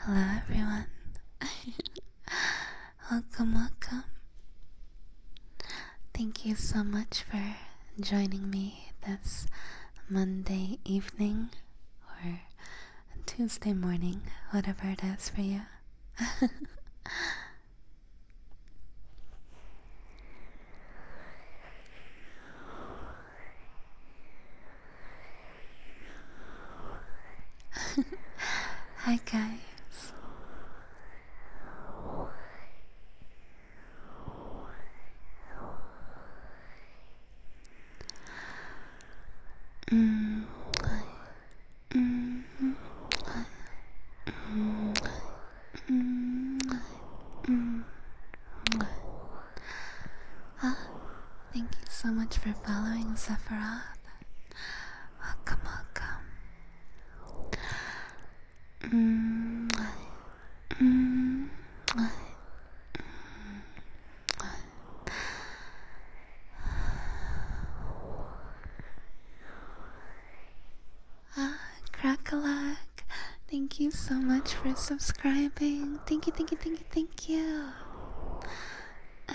Hello, everyone. welcome, welcome. Thank you so much for joining me this Monday evening or Tuesday morning, whatever it is for you. Hi, guys. Mm -hmm. Mm -hmm. Mm -hmm. Ah, thank you so much for following Sephiroth. Welcome, welcome. Mm Mm Ah, Crackalack, thank you so much for subscribing. Thank you, thank you, thank you, thank you.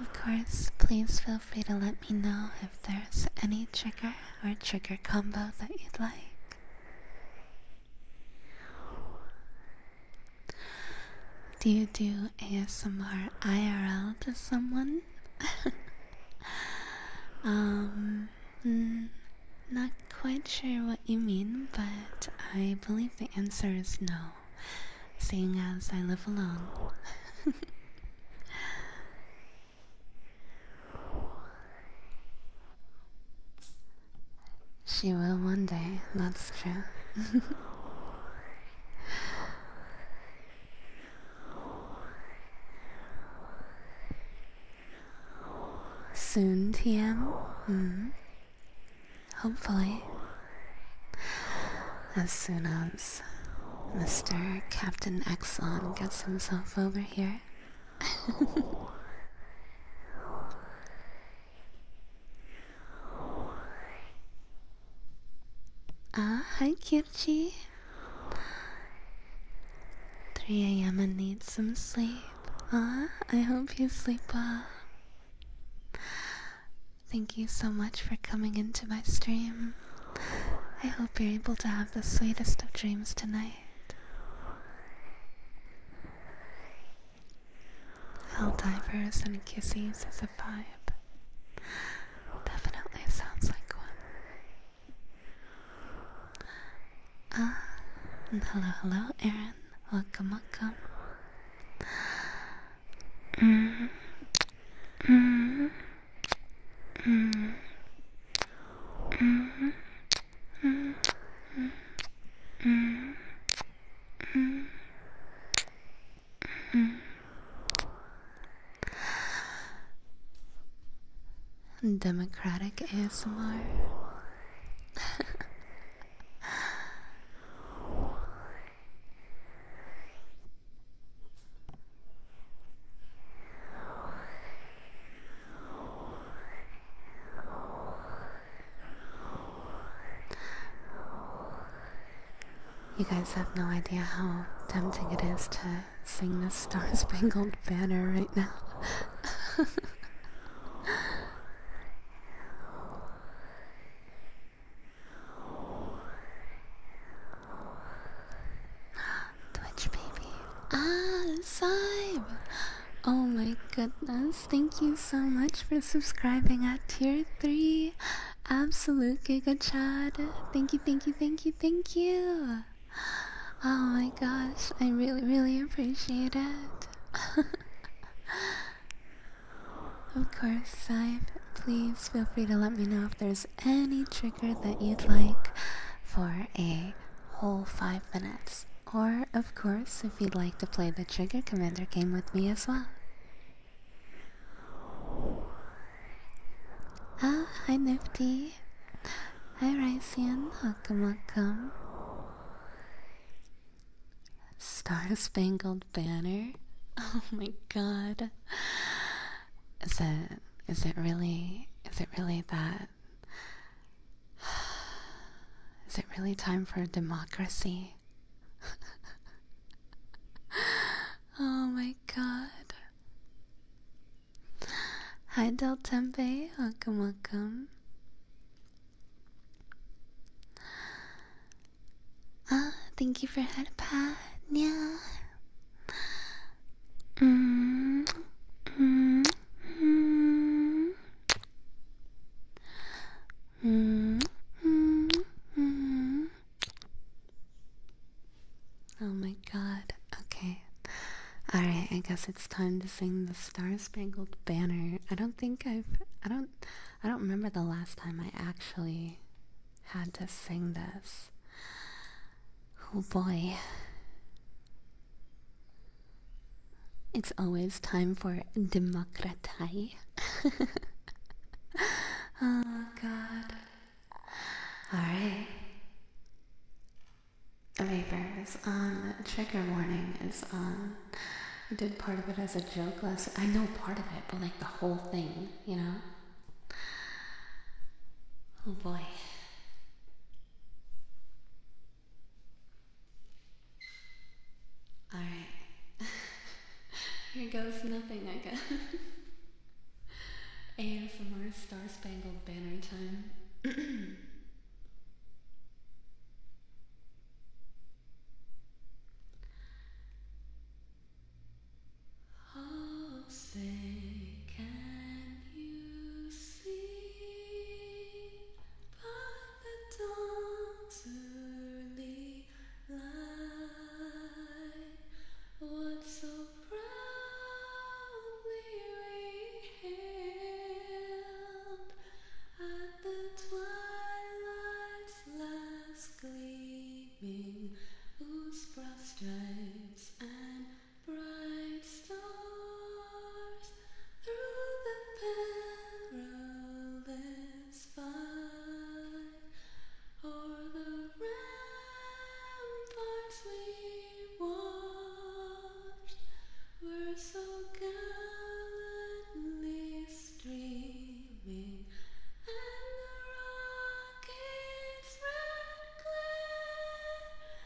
of course, please feel free to let me know if there's any trigger or trigger combo that you'd like. Do you do ASMR IRL to someone? um, mm, not quite sure what you mean, but I believe the answer is no, seeing as I live alone. She will one day, that's true. Soon, TM? Hmm. Hopefully. As soon as Mr. Captain Exxon gets himself over here. ah, hi, Kyuchi. 3 a.m. I need some sleep. Ah, I hope you sleep well. Thank you so much for coming into my stream. I hope you're able to have the sweetest of dreams tonight. Helldivers and kisses is a vibe. Definitely sounds like one. Ah, hello, hello, Aaron. Welcome, welcome. Mm. Mm. Mm. Mm -hmm. Mm -hmm. -hmm. -hmm. Democratic ASMR. You guys have no idea how tempting it is to sing the Star Spangled Banner right now. Twitch baby. Ah, Zybe! Oh my goodness, thank you so much for subscribing at tier 3. Absolute Giga Chad. Thank you, thank you, thank you, thank you. Oh my gosh, I really, really appreciate it. of course, Zybe, please feel free to let me know if there's any trigger that you'd like for a whole five minutes. Or, of course, if you'd like to play the Trigger Commander game with me as well. Ah, hi Nifty. Hi Rycian, welcome, welcome. Star Spangled Banner. Oh my god. Is it is it really is it really that is it really time for democracy? oh my god. Hi Del Tempe, welcome welcome. Ah, thank you for head pat. Yeah. Mm -hmm. Mm -hmm. Oh my god. Okay. Alright, I guess it's time to sing the Star Spangled Banner. I don't think I've I don't I don't remember the last time I actually had to sing this. Oh boy. It's always time for democratai. oh god. Alright. Vapor is on. Trigger warning is on. I did part of it as a joke last I know part of it, but like the whole thing, you know? Oh boy. Alright. Here goes nothing, I guess. ASMR Star Spangled Banner time. Oh, say, can you? sleep by the dawn's early light. What so proudly we hailed at the twilight's last gleaming, whose broad stripes and bright stars through the perilous fight, o'er the ramparts we watched were so gallantly streaming, and the rocket's red glare.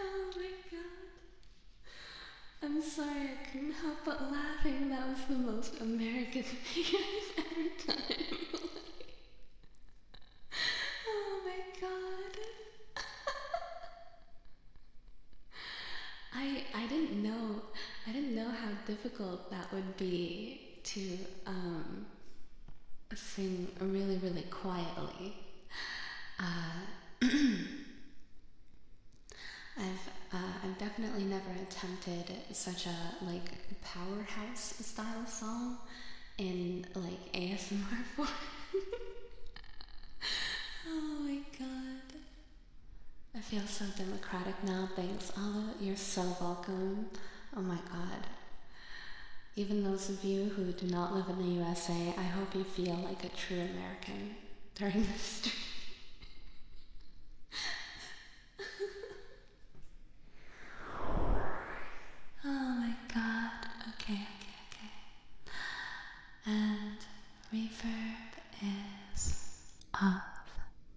oh my god. I'm sorry I couldn't help but laughing. That was the most American thing I've ever done Oh my god. I I didn't know I didn't know how difficult that would be to um, sing really, really quietly. Uh, I've uh, I've definitely never attempted such a like powerhouse style song in like ASMR form. oh my god. I feel so democratic now. Thanks, Ala. You're so welcome. Oh my god. Even those of you who do not live in the USA, I hope you feel like a true American during this stream. oh my god. Okay, okay, okay. And reverb is off.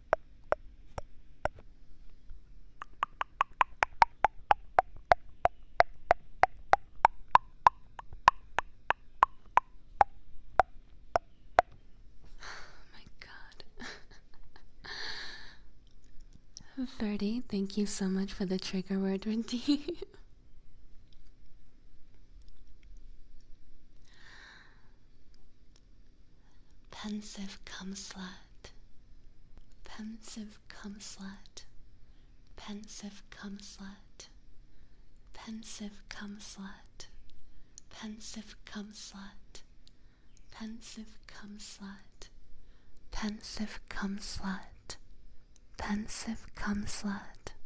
Oh my god. Ferdy, thank you so much for the trigger word, Rindy. Pensive cum slut. Pensive cum slut. Pensive cum slut. Pensive cum slut. Pensive cum slut. Pensive cum slut. Pensive cum slut. Pensive cum slut.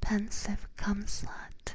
Pensive cum slut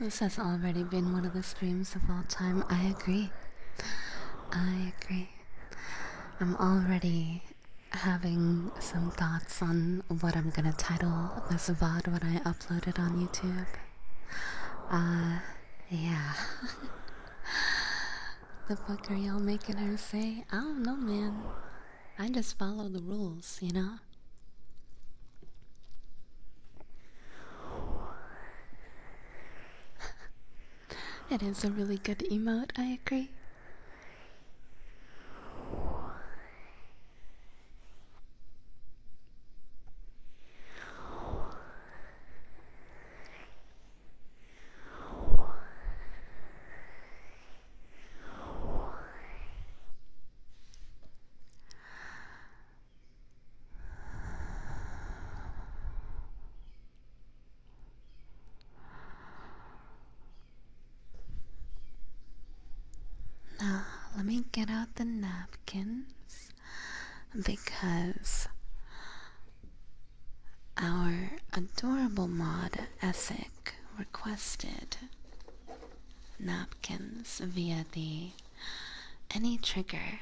this has already been one of the streams of all time. I agree. I agree. I'm already having some thoughts on what I'm gonna title this VOD when I upload it on YouTube. Uh, yeah. the fuck are y'all making her say? I don't know, man. I just follow the rules, you know? 吗？it is a really good emote, I agree. Now, let me get out the napkins because our adorable mod Essek requested napkins via the any trigger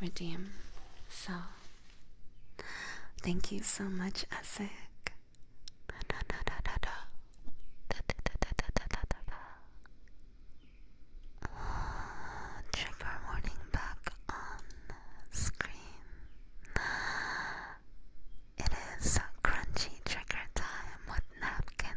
redeem. So, thank you so much, Asik. Trigger warning back on screen. It is crunchy trigger time with napkin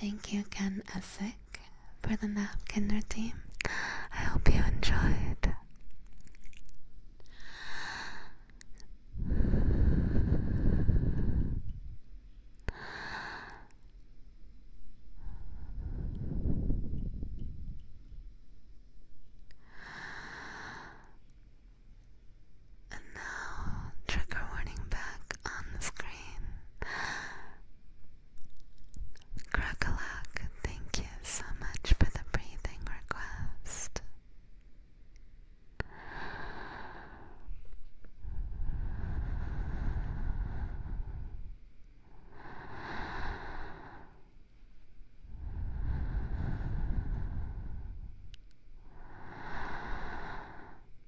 Thank you again, Essek, for the napkin routine. I hope you enjoyed. And now, trigger warning back on the screen. Crocolac, thank you so much for the breathing request.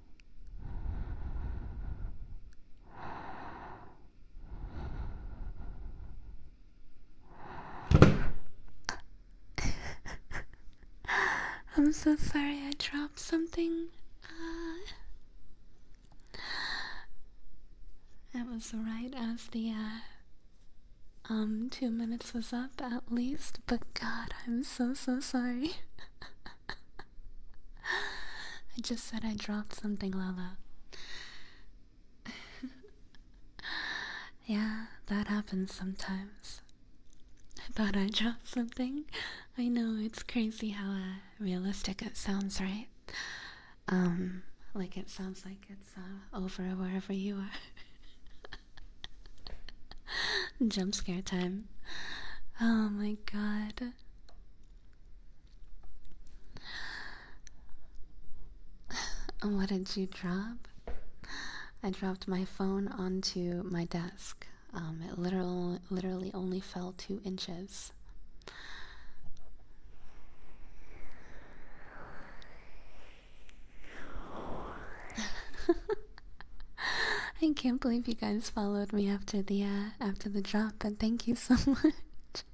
I'm so sorry I dropped something. Uh, it was right as the uh, um two minutes was up at least, but God, I'm so so sorry. I just said I dropped something, Lala. yeah, that happens sometimes. I thought I dropped something. I know it's crazy how uh, realistic it sounds, right? Um, like it sounds like it's uh, over wherever you are. Jump scare time. Oh my god. what did you drop? I dropped my phone onto my desk. Um, it literal, literally only fell two inches. I can't believe you guys followed me after the uh, after the drop, and thank you so much.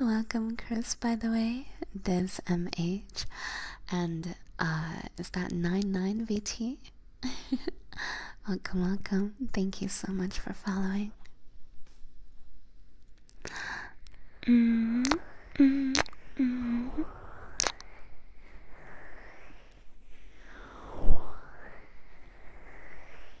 Welcome, Chris, by the way. this MH. And uh, is that 99VT? welcome, welcome. Thank you so much for following.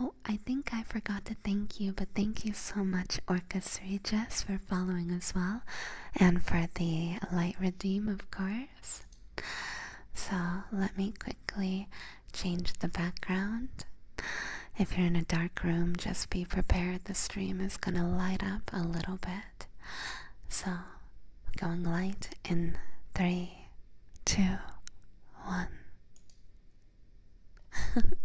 Oh, I think I forgot to thank you, but thank you so much, Orchestra Jess, for following as well, and for the light redeem, of course. So let me quickly change the background. If you're in a dark room, just be prepared. The stream is going to light up a little bit. So, going light in three, two, one.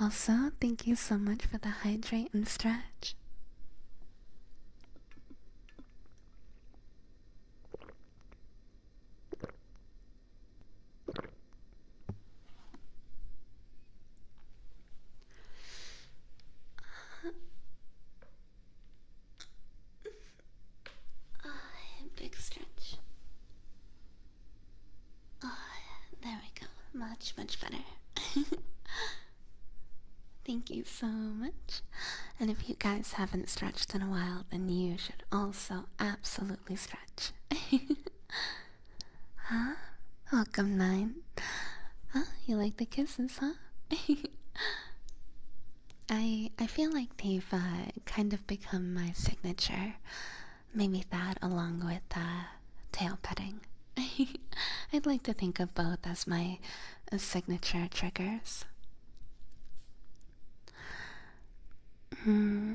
also, thank you so much for the hydrate and stretch. Uh, big stretch. Oh, there we go. Much, much better. Thank you so much. And if you guys haven't stretched in a while, then you should also absolutely stretch. huh? Welcome, Nine. Huh? You like the kisses, huh? I I feel like they've uh, kind of become my signature. Maybe that along with uh, tail petting. I'd like to think of both as my uh, signature triggers. Hmm.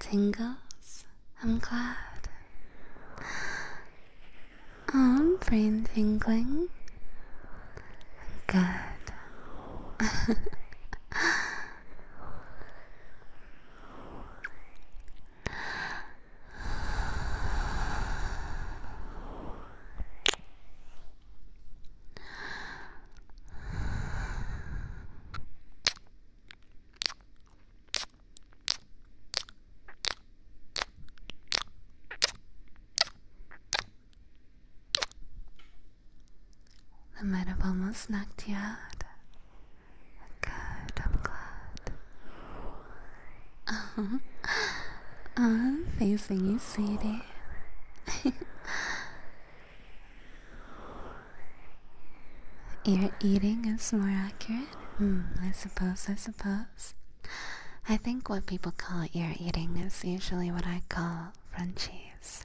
Tingles, I'm glad. Um, brain tingling. Good. I might have almost knocked you out. Good, I'm glad. Oh, oh I'm facing you, sweetie. You're eating is more accurate Mm. I suppose, I suppose. I think what people call ear eating is usually what I call Frenchies.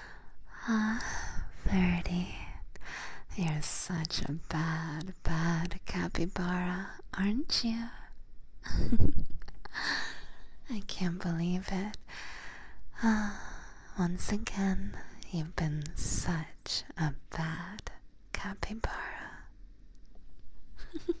Ah, Birdie, you're such a bad, bad capybara, aren't you? I can't believe it. Ah, once again, you've been such a bad capybara.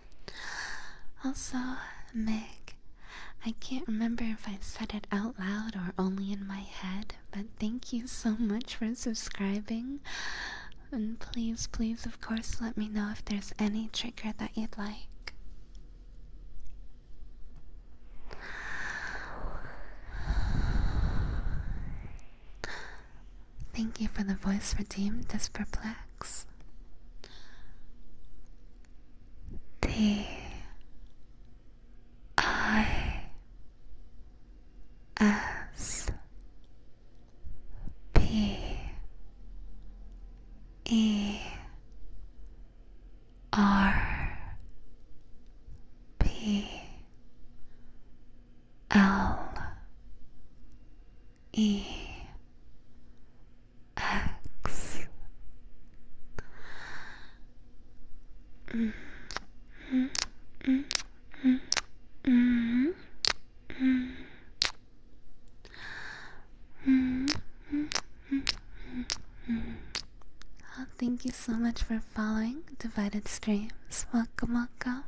Also, Meg, I can't remember if I said it out loud or only in my head, but thank you so much for subscribing. And please, please, of course, let me know if there's any trigger that you'd like. Thank you for the voice redeemed as perplex. T I S P E R P L E X. Mm -hmm. Mm -hmm. Mm -hmm. Mm -hmm. Mm -hmm. Oh, thank you so much for following Divided Streams. Welcome, welcome.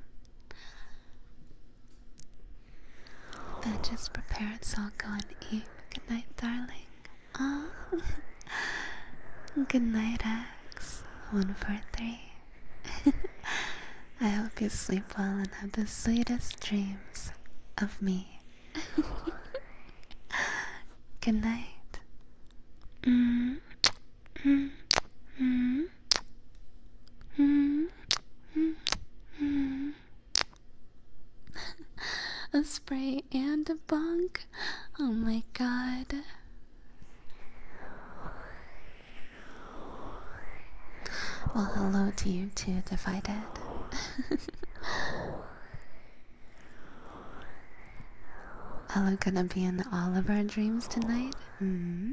Then just prepare itself, go and eat. Good night, darling. Ah. Good night, X. One, four, three. I hope you sleep well and have the sweetest dreams of me. Good night. Mm. Mm. Mm. Mm. Mm. a spray and a bunk. Oh my god. Well, hello to you too, if I did. Are we gonna be in all of our dreams tonight? Mm-hmm.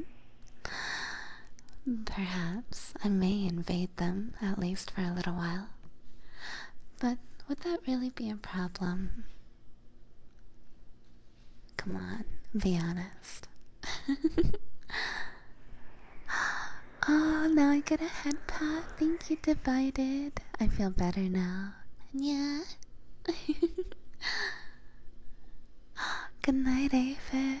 Perhaps I may invade them, at least for a little while. But would that really be a problem? Come on, be honest. oh, now I get a head pat. Thank you, Divided. I feel better now. Yeah. Good night, David.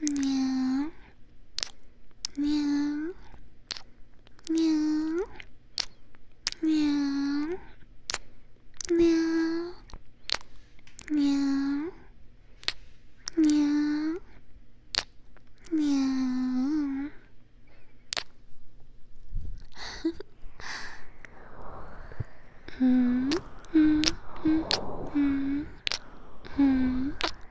喵，喵，喵，喵，喵，喵，喵，喵，喵，嗯，嗯，嗯，嗯，嗯。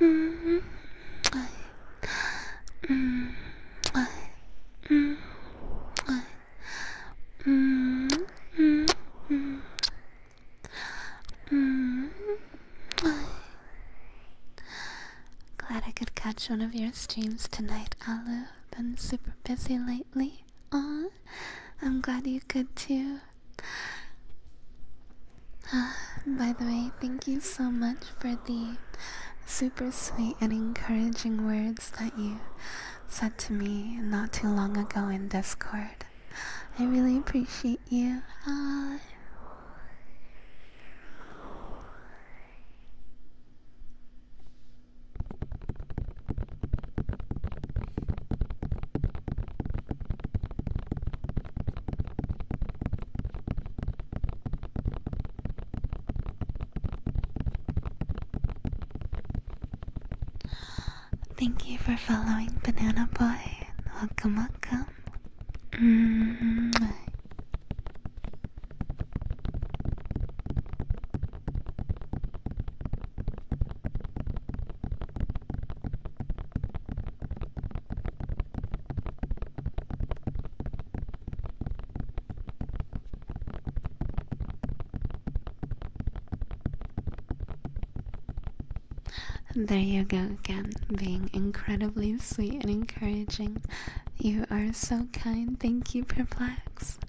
Mm -hmm. Mm -hmm. Mm -hmm. Mm -hmm. Glad I could catch one of your streams tonight, I've Been super busy lately. Aw, I'm glad you could too. By the way, thank you so much for the super sweet and encouraging words that you said to me not too long ago in Discord. I really appreciate you. Thank you for following Banana Boy. Welcome, welcome. Mm there you go again, being incredibly sweet and encouraging. You are so kind. Thank you, Perplex.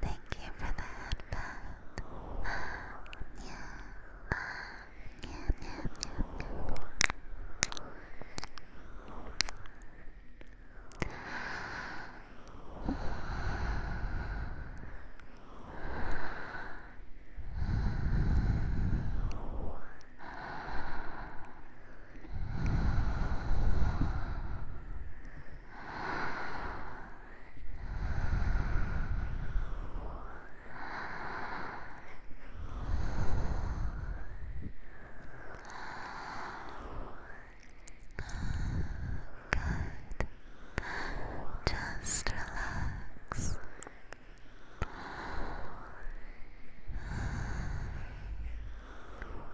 thank you for the headband. yeah. Good. Just relax. Good.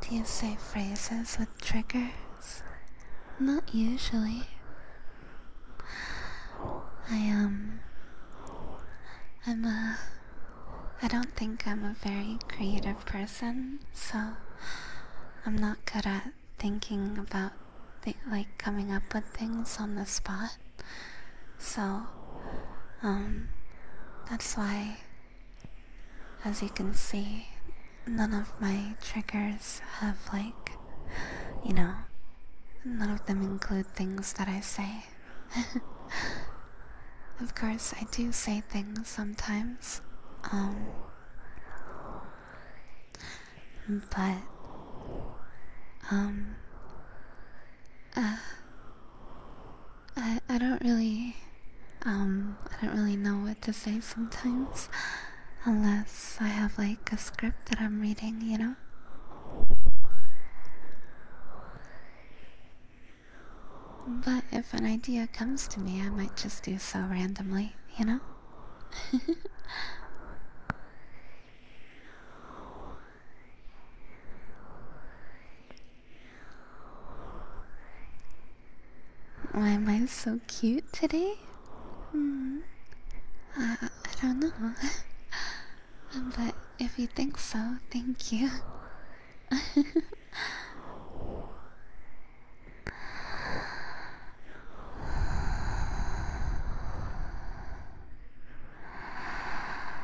Do you say phrases with triggers? Not usually. I um I'm a I don't think I'm a very creative person, so I'm not good at thinking about like coming up with things on the spot. So, um, that's why, as you can see, none of my triggers have, like, you know, none of them include things that I say. of course, I do say things sometimes, um, but, um, uh, I I don't really um, I don't really know what to say sometimes unless I have like a script that I'm reading, you know. But if an idea comes to me, I might just do so randomly, you know? Why am I so cute today? Hmm. I, I, don't know. but if you think so, thank you.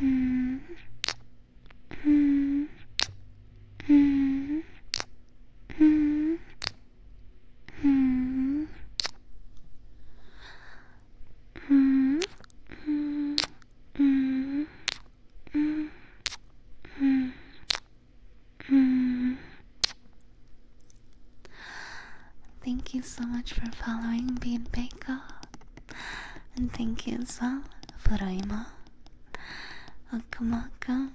Mm. Mm. Mm. Mm. Mm. Mm. Mm. Mm. Mm. Mm. Mm. Thank you so much for following Bean Bako. And thank you as well, Furaima, Okamaka.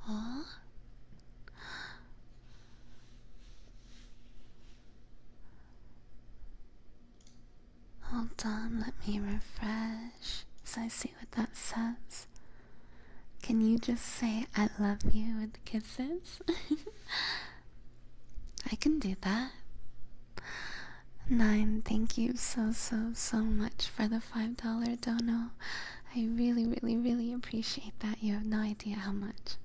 Huh? Hold on, let me refresh so I see what that says. Can you just say I love you with kisses? I can do that. Nine, thank you so, so, so much for the $5 dono. I really, really, really appreciate that. You have no idea how much.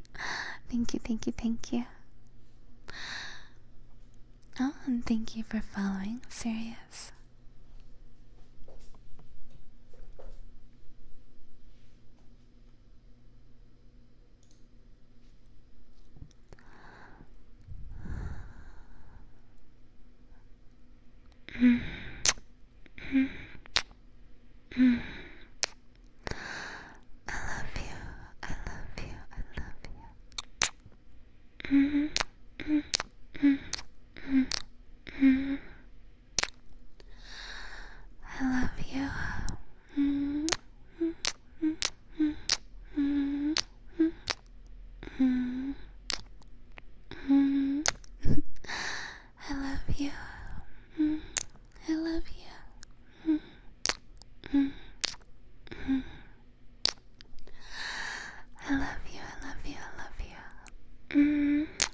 thank you, thank you, thank you. Oh, and thank you for following Sirius. Mm. Mm. Mm. I love you. I love you. I love you. Mm. Mm. Mm. Mm. Mm. I love you. Mm -hmm. Mm -hmm. Mm -hmm. Mm -hmm. I love you. -hmm. I love you. Mm -hmm. -hmm. I love you, I love you, I love you. -hmm.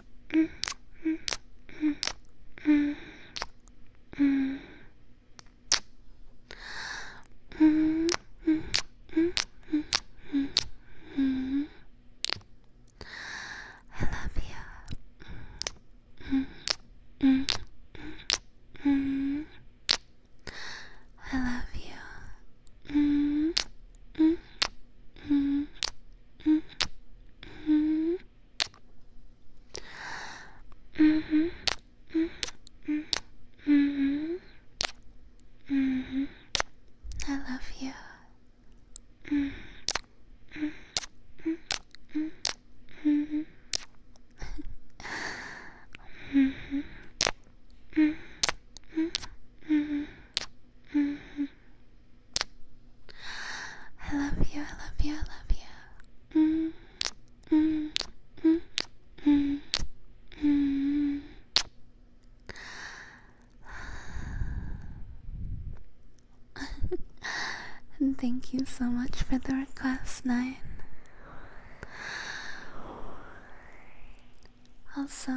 Mm, I love you. I love you. Mm -hmm. -hmm. -hmm. -hmm. I love you. Mm -hmm. Mm -hmm. Mm -hmm. -hmm. -hmm. -hmm. -hmm. I love you, I love you, I love you. Mm, mm, mm, mm, mm. thank you so much for the request, Nine. Also,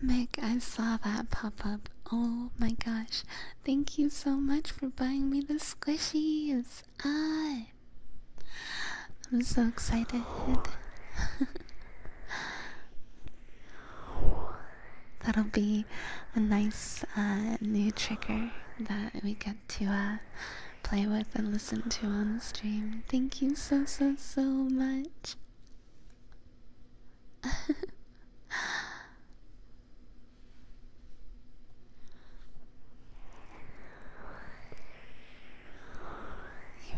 Meg, I saw that pop up. Oh my gosh, Thank you so much for buying me the squishies. Ah, I'm so excited. That'll be a nice uh, new trigger that we get to uh, play with and listen to on the stream. Thank you so, so, so much. you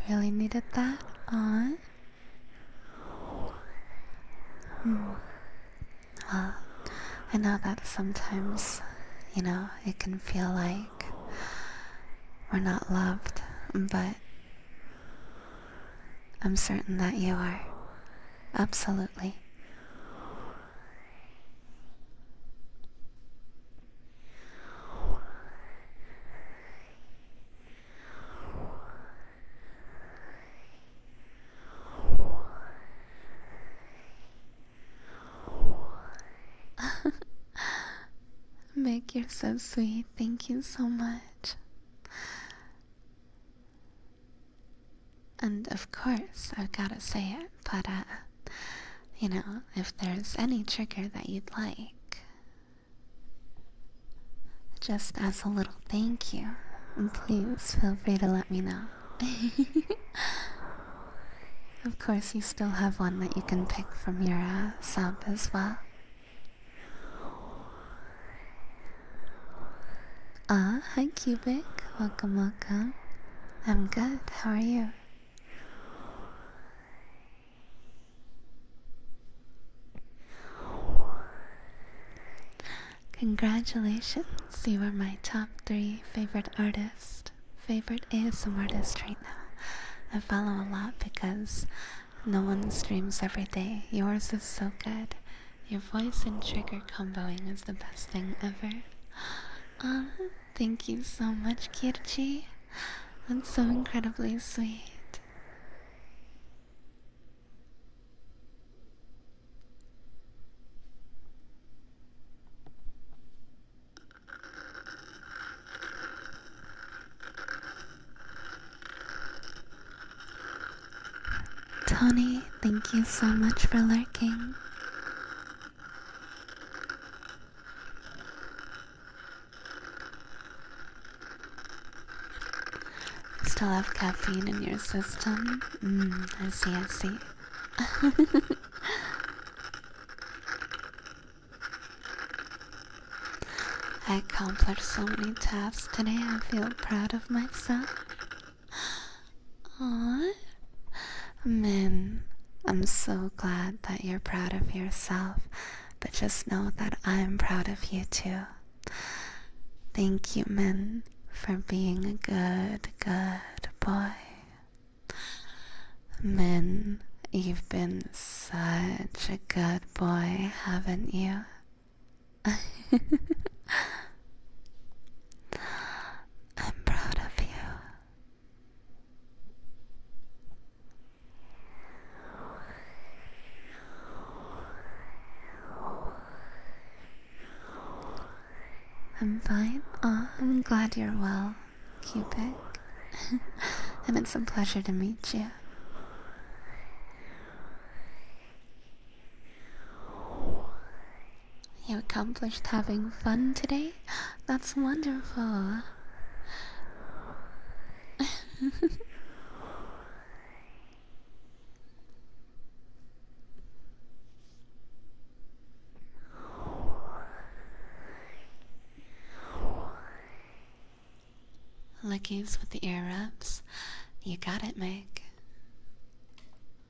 really needed that on? Hmm. I know that sometimes, you know, it can feel like we're not loved, but I'm certain that you are. Absolutely. Meg, you so sweet. Thank you so much. And of course, I've gotta say it, but uh, you know, if there's any trigger that you'd like, just as a little thank you, please feel free to let me know. of course, you still have one that you can pick from your uh, sub as well. Ah, hi Cubic. Welcome, welcome. I'm good. How are you? Congratulations, you are my top three favorite artist, favorite ASM artist right now. I follow a lot because no one streams every day. Yours is so good. Your voice and trigger comboing is the best thing ever. Ah, thank you so much, Kirchi. That's so incredibly sweet. Tony, thank you so much for lurking. Still have caffeine in your system? Mm, I see, I see. I accomplished so many tasks today, I feel proud of myself. Aw, Min, I'm so glad that you're proud of yourself, but just know that I'm proud of you too. Thank you, Min, for being a good, good boy. Min, you've been such a good boy, haven't you? I'm proud of you. I'm fine. I'm glad you're well, Cupid. and it's a pleasure to meet you. You accomplished having fun today? That's wonderful. Lickies with the ear wraps. You got it, Meg.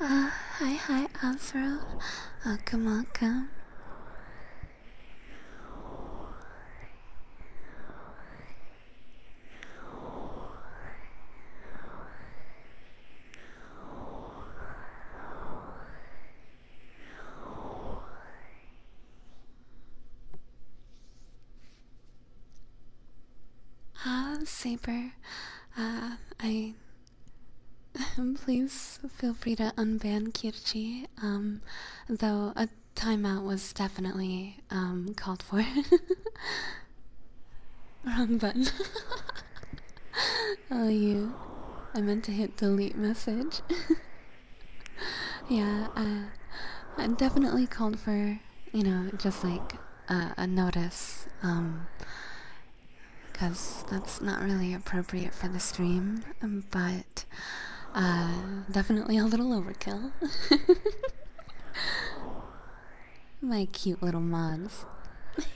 Uh, hi, hi, Afro. Welcome, welcome. Ah, uh, um, Saber. Um, I um, please feel free to unban Kirchi, um, though a timeout was definitely um, called for. Wrong button. oh, you. I meant to hit delete message. yeah, uh, I definitely called for, you know, just like uh, a notice because that's not really appropriate for the stream, um, but uh, definitely a little overkill. My cute little mods.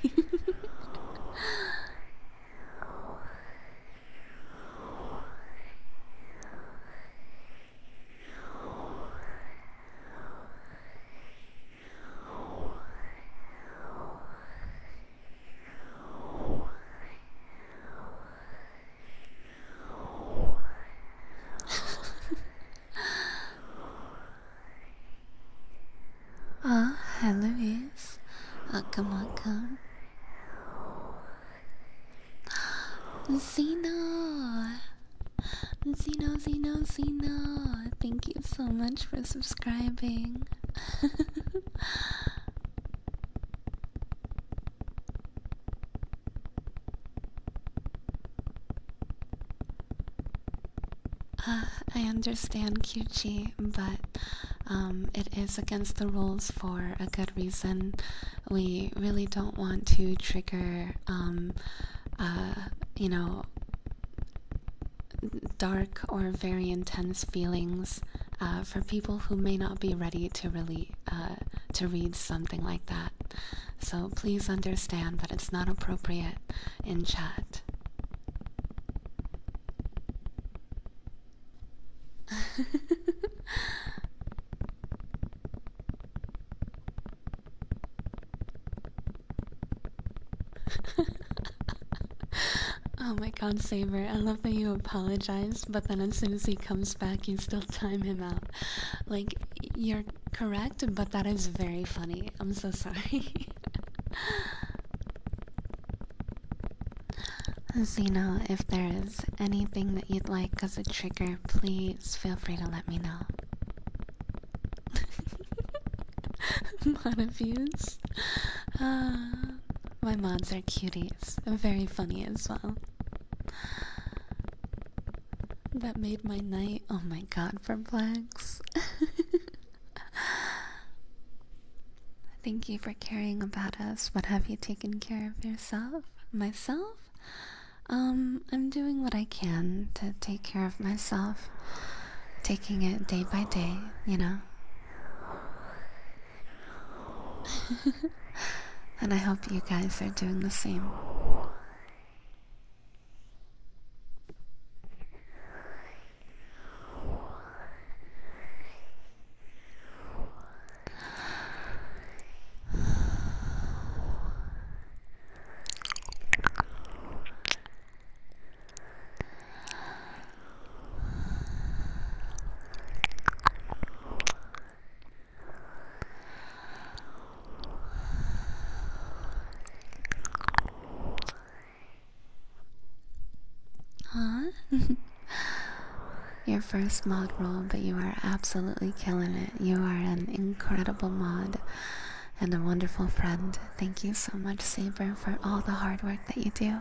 Ah, oh, hi oh, come Welcome, come. Zeno! Zeno, Zeno, Zeno! Thank you so much for subscribing. Uh, I understand, QG, but um, it is against the rules for a good reason. We really don't want to trigger, um, uh, you know, dark or very intense feelings uh, for people who may not be ready to really uh, to read something like that. So please understand that it's not appropriate in chat. oh my god, Saber, I love that you apologize, but then as soon as he comes back, you still time him out. Like, you're correct, but that is very funny. I'm so sorry. Zeno, if there is anything that you'd like as a trigger, please feel free to let me know. Mod views. Ah, my mods are cuties. Very funny as well. That made my night. Oh my god, flags. Thank you for caring about us. What have you taken care of yourself? Myself? Um, I'm doing what I can to take care of myself. Taking it day by day, you know? and I hope you guys are doing the same. Huh? Your first mod roll, but you are absolutely killing it. You are an incredible mod and a wonderful friend. Thank you so much, Saber, for all the hard work that you do.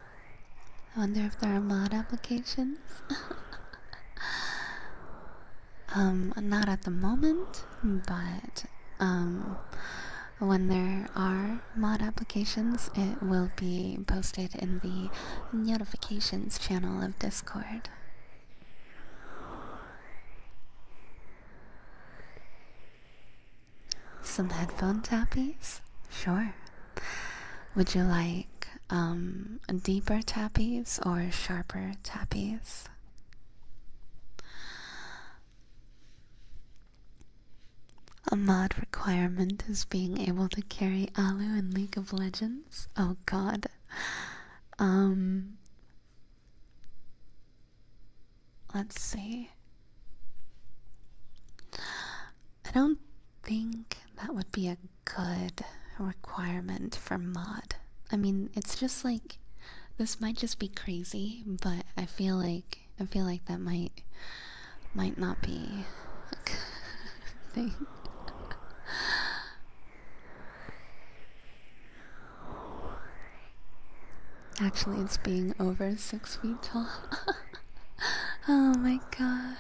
I wonder if there are mod applications. um, not at the moment, but um, when there are mod applications, it will be posted in the notifications channel of Discord. Some headphone tappies? Sure. Would you like um, deeper tappies or sharper tappies? A mod requirement is being able to carry Alu in League of Legends. Oh god. Um, Let's see. I don't think that would be a good requirement for mod. I mean, it's just like this might just be crazy, but I feel like I feel like that might might not be a good thing. Actually, it's being over six feet tall. oh my god.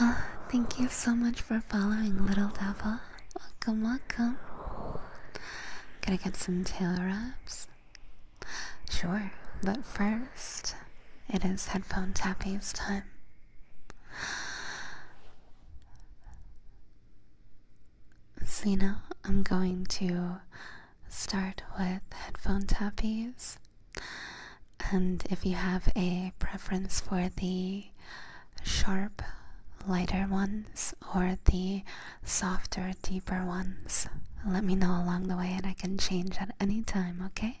Uh, thank you so much for following, little devil. Welcome, welcome. Gonna get some tail wraps? Sure, but first, it is headphone tappies time. So, now I'm going to start with headphone tappies and if you have a preference for the sharp, lighter ones or the softer, deeper ones, let me know along the way and I can change at any time, okay?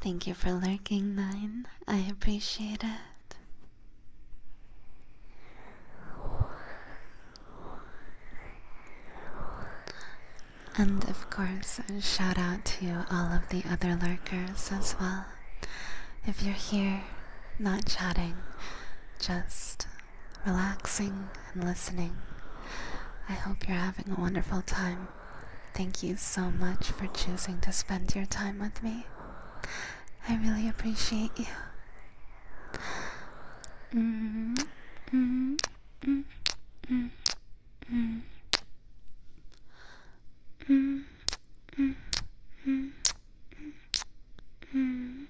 thank you for lurking, Nine. I appreciate it. And of course, a shout out to all of the other lurkers as well. If you're here, not chatting, just relaxing and listening, I hope you're having a wonderful time. Thank you so much for choosing to spend your time with me. I really appreciate you. Mm-hmm. Mm-hmm. Mm-hmm. Mm. Mm. Mm. Mm. Mm.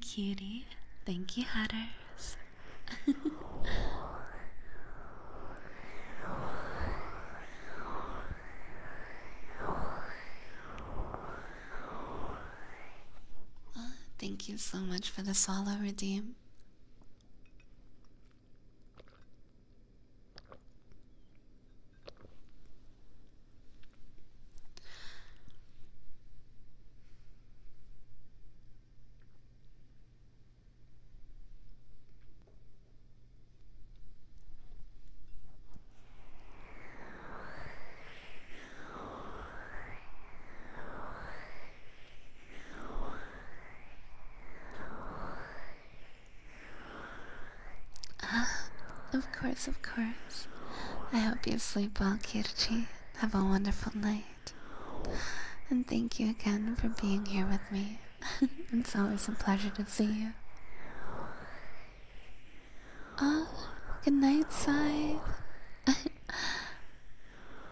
Cutie, thank you, Hatters. thank you so much for the solo redeem. Uh, of course, of course. I hope you sleep well, Kirchi. Have a wonderful night. And thank you again for being here with me. it's always a pleasure to see you. Oh, good night, Scythe.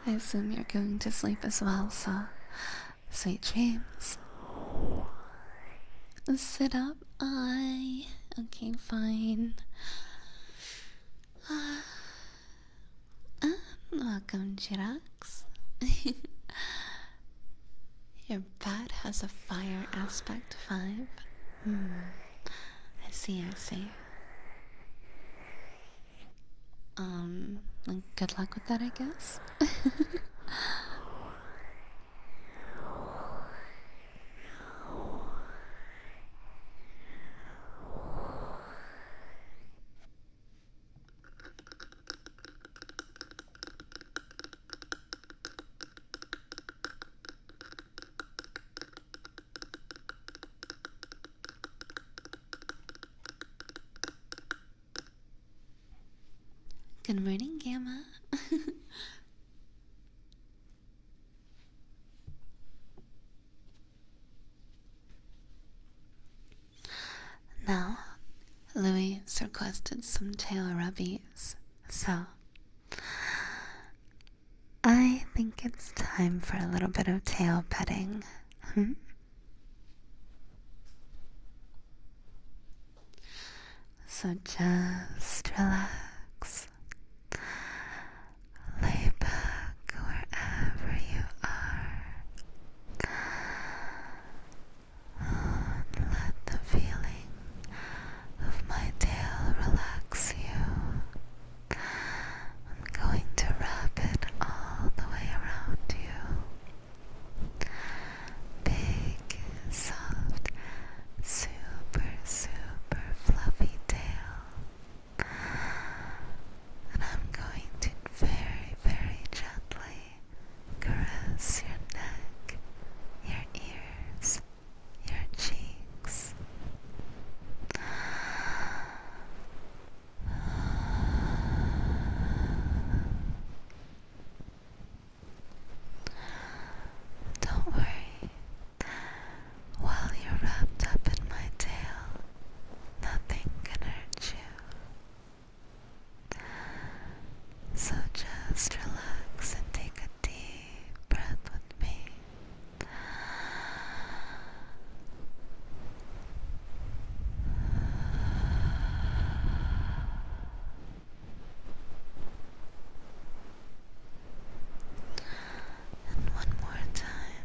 I assume you're going to sleep as well, so sweet dreams. Sit up, I. Okay, fine. Ah. Um, welcome, Chirax. Your bat has a fire aspect 5. Hmm, I see, I see. Um, good luck with that, I guess. Good morning, Gamma. Now, Louis requested some tail rubbies, so I think it's time for a little bit of tail petting. Hmm? So just relax. Lay back wherever you are let the feeling of my tail relax you. I'm going to wrap it all the way around you. Big, soft, super, super fluffy tail. And I'm going to very, very gently caress your neck, your ears, your cheeks. Don't worry, while you're wrapped up in my tail, nothing can hurt you. So just relax and take a deep breath with me. And one more time.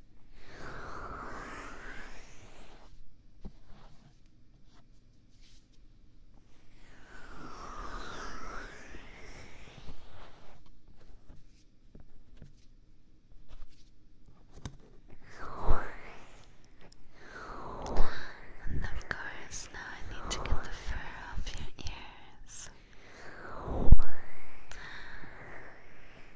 And of course, now I need to get the fur off your ears.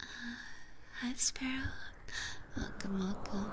Uh, hi, Sparrow. Welcome, welcome.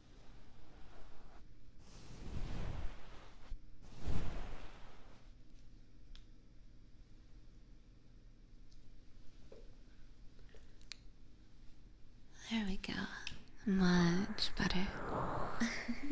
There we go. Much better.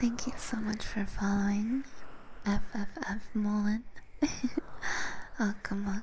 Thank you so much for following FFF Mullen. welcome,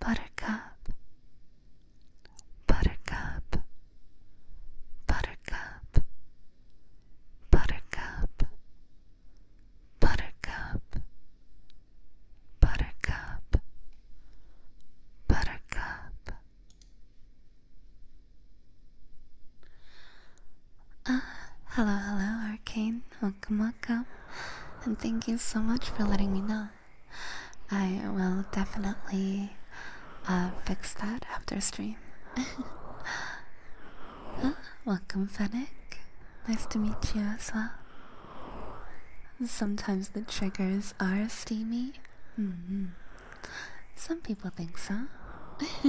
Buttercup, Buttercup, Buttercup, Buttercup, Buttercup, Buttercup, Ah, hello, hello, Arcane welcome, welcome. And thank you so much for letting me know. I will definitely uh, fix that after stream. welcome, Fennec. Nice to meet you as well. Sometimes the triggers are steamy. Mm-hmm. Some people think so.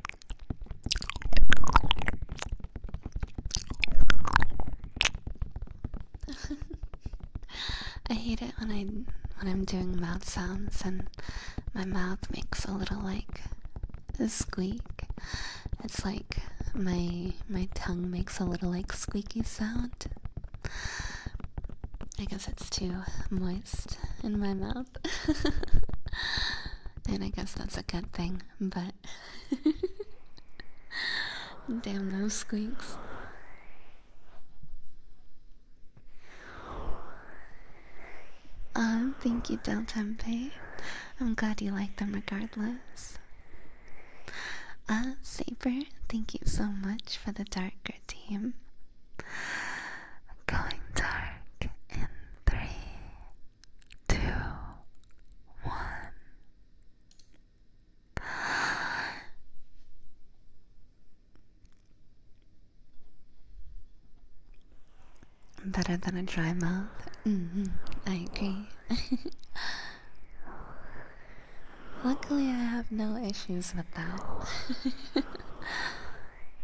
I hate it when I when I'm doing mouth sounds and my mouth makes a little like a squeak. It's like my my tongue makes a little like squeaky sound. I guess it's too moist in my mouth. and I guess that's a good thing, but damn those squeaks. Um, thank you, Del Tempe. I'm glad you like them regardless. Uh, Saber, thank you so much for the darker theme. Going dark in three, two, one. Better than a dry mouth. Mm-hmm. I agree. Luckily, I have no issues with that.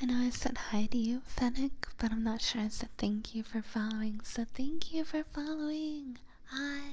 I know I said hi to you, Fennec, but I'm not sure I said thank you for following, so thank you for following. Hi.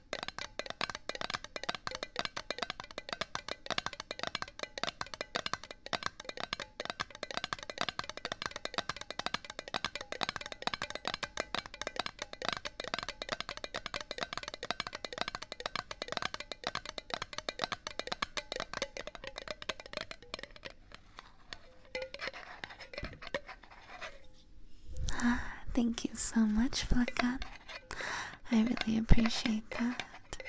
Ah, thank you so much, Flakan. I really appreciate that.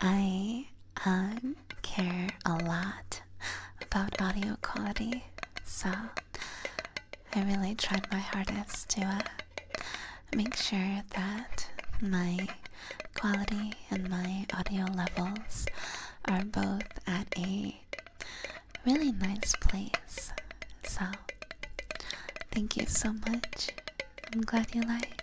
I um, care a lot about audio quality, so I really tried my hardest to uh, make sure that my quality and my audio levels are both at a really nice place. So Thank you so much. I'm glad you like.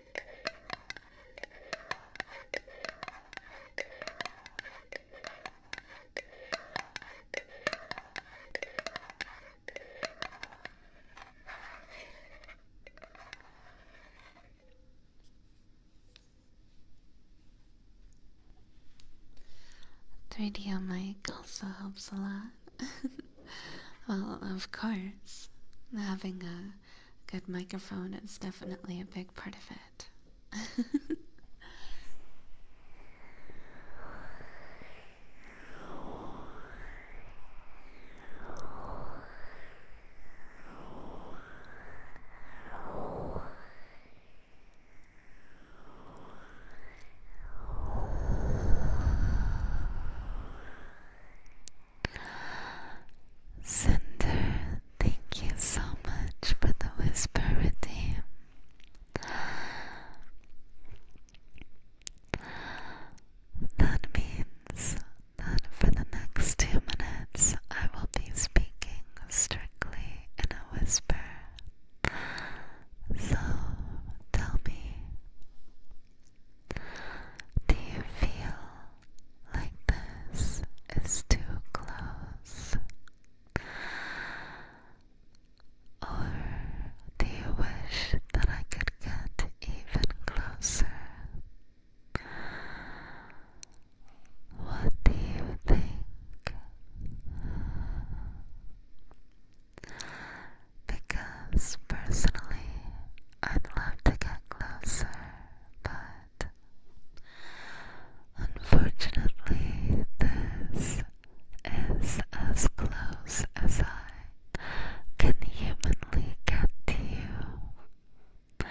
3D mic also helps a lot. well, of course, having a good microphone It's definitely a big part of it. Cinder, thank you so much for the whisper That means that for the next two minutes I will be speaking strictly in a whisper. So tell me, do you feel like this is too close? Or do you wish that I could get even closer? What do you think? Because personally, I'd love to get closer but unfortunately, this is as close as I can humanly get to you.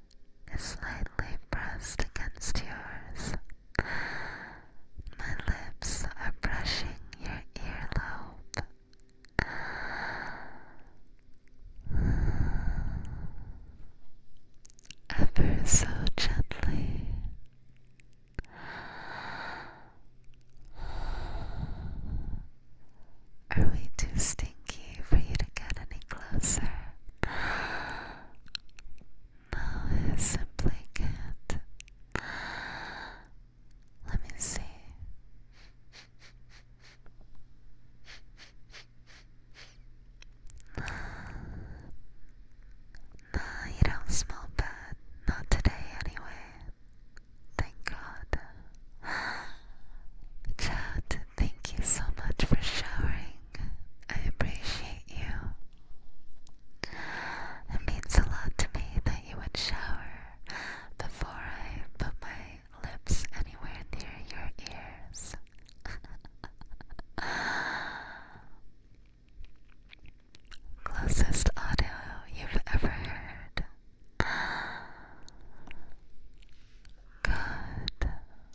is slightly pressed against yours. My lips are brushing your earlobe. Ever so gently. Are we too stinky for you to get any closer? No, I simply can't. Let me see. No, you don't smell bad. Not today, anyway. Thank God. Chad, thank you so much for showering. I appreciate you. It means a lot to me that you would shower before I put my lips anywhere near your ears. Closest audio you've ever heard. Good.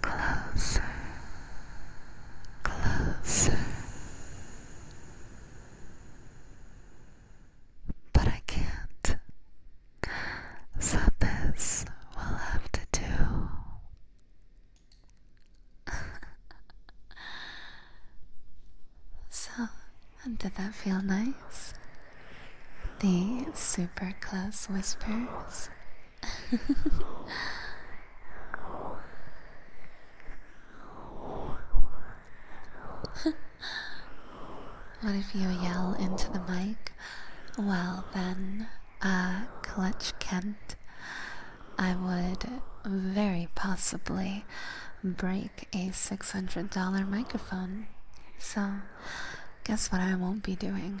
closer, closer. But I can't. So this will have to do. so, did that feel nice? The super close whispers what if you yell into the mic? Well, then, uh, Clutch Kent, I would very possibly break a $600 microphone. So, guess what I won't be doing?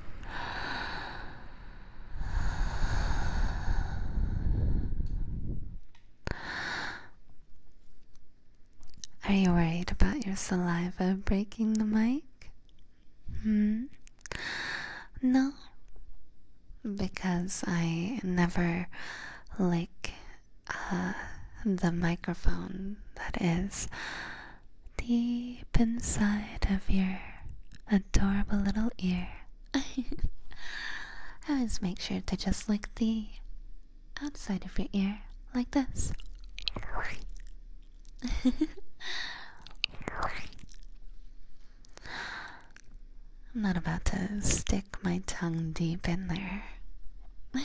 Are you worried about your saliva breaking the mic? Hmm? No. Because I never lick uh, the microphone, that is deep inside of your adorable little ear. I always make sure to just lick the outside of your ear like this. I'm not about to stick my tongue deep in there.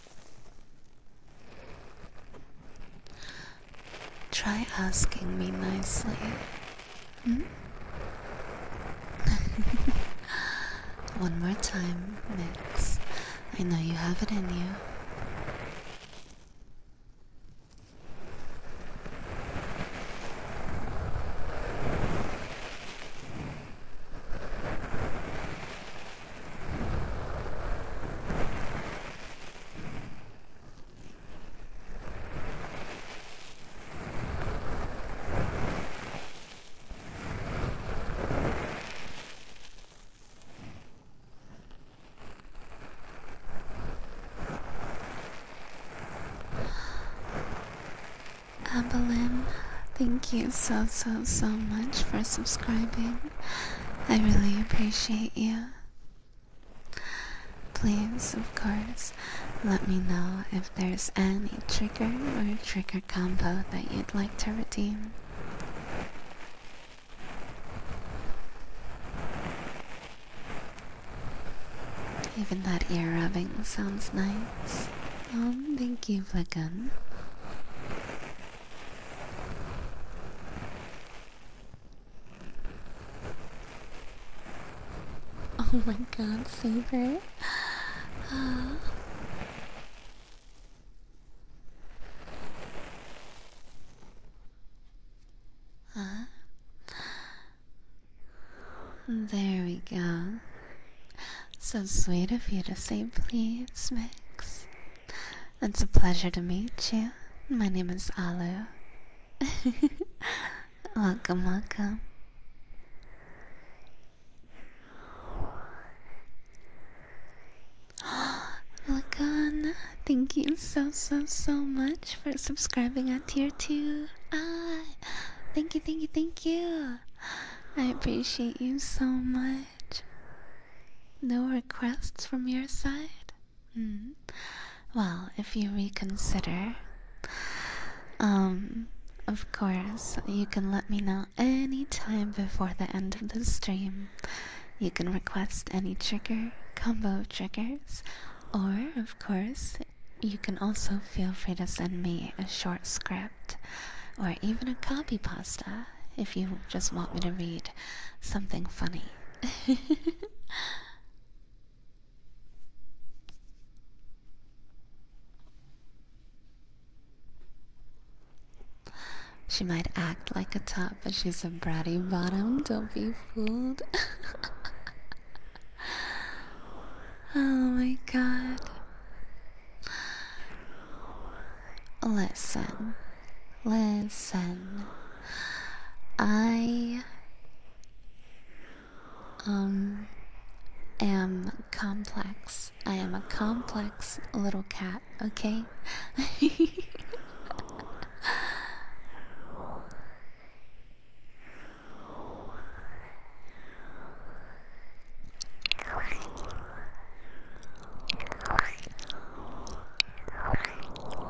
Try asking me nicely. Hmm? One more time, Mix. I know you have it in you. Abelin, thank you so so so much for subscribing. I really appreciate you. Please, of course, let me know if there's any trigger or trigger combo that you'd like to redeem. Even that ear rubbing sounds nice. Um, thank you, Flickun. Oh my god, Saber. Uh. There we go. So sweet of you to say please, Mix. It's a pleasure to meet you. My name is Alu. welcome, welcome. Lagan, thank you so so so much for subscribing at tier two. Ah, thank you, thank you, thank you. I appreciate you so much. No requests from your side? Hmm. Well, if you reconsider, um, of course, you can let me know any time before the end of the stream. You can request any trigger, combo triggers, or, of course, you can also feel free to send me a short script or even a copy pasta if you just want me to read something funny. She might act like a top, but she's a bratty bottom. Don't be fooled. oh my god. Listen, listen. I um am complex. I am a complex little cat, okay?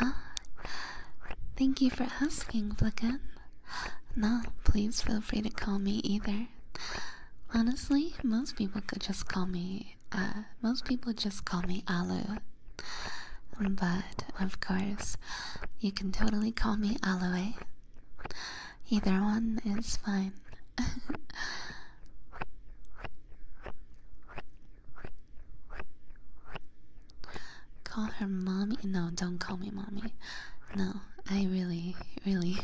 Ah, thank you for asking, Flickin. No, please feel free to call me either. Honestly, most people could just call me, uh, most people just call me Alu. But, of course, you can totally call me Aloe. Eh? Either one is fine. call her mommy. No, don't call me mommy. No, I really, really,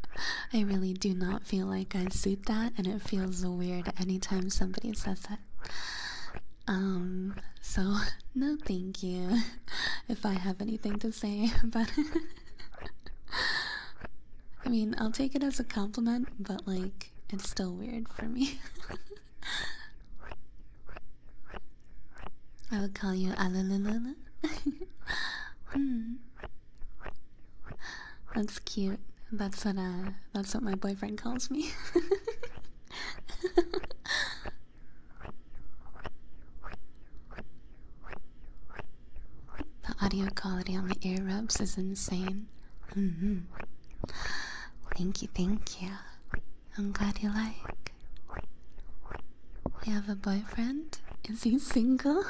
I really do not feel like I suit that, and it feels weird anytime somebody says that. Um, so no, thank you. If I have anything to say, but I mean, I'll take it as a compliment, but like, it's still weird for me. I would call you Alalala. hmm. That's cute. That's what uh that's what my boyfriend calls me. the audio quality on the ear rubs is insane. -hmm. Thank you, thank you. I'm glad you like. You have a boyfriend? Is he single?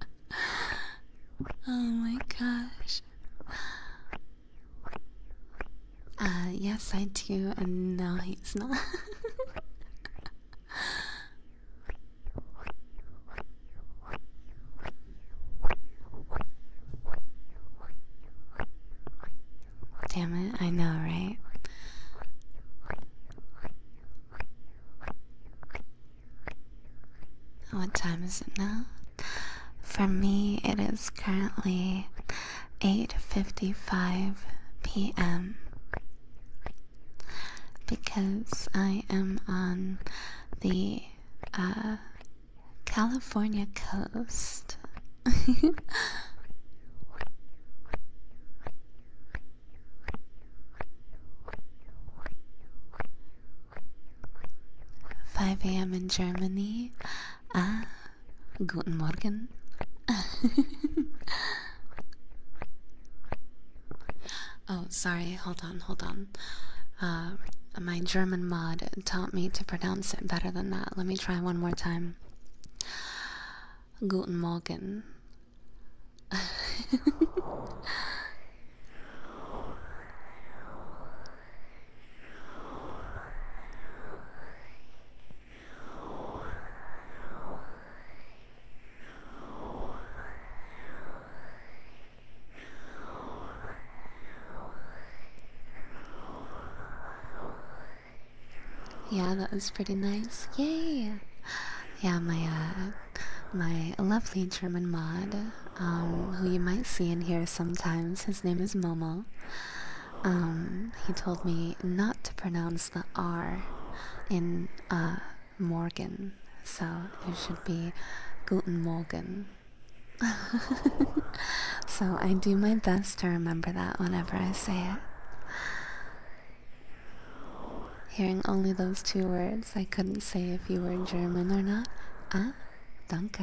oh my gosh. Uh, yes, I do, and no, he's not. Damn it, I know, right? What time is it now? For me, it is currently 8:55 p.m. because I am on the uh, California coast. Five a.m. in Germany. Ah, guten Morgen. Oh, sorry, hold on, hold on. Uh, my German mod taught me to pronounce it better than that. Let me try one more time. Guten Morgen. Yeah, that was pretty nice. Yay! Yeah, my uh, my lovely German mod, um, who you might see in here sometimes. His name is Momo. Um, he told me not to pronounce the R in uh, Morgan. So you should be Guten Morgen. so I do my best to remember that whenever I say it. Hearing only those two words, I couldn't say if you were German or not. Ah, danke.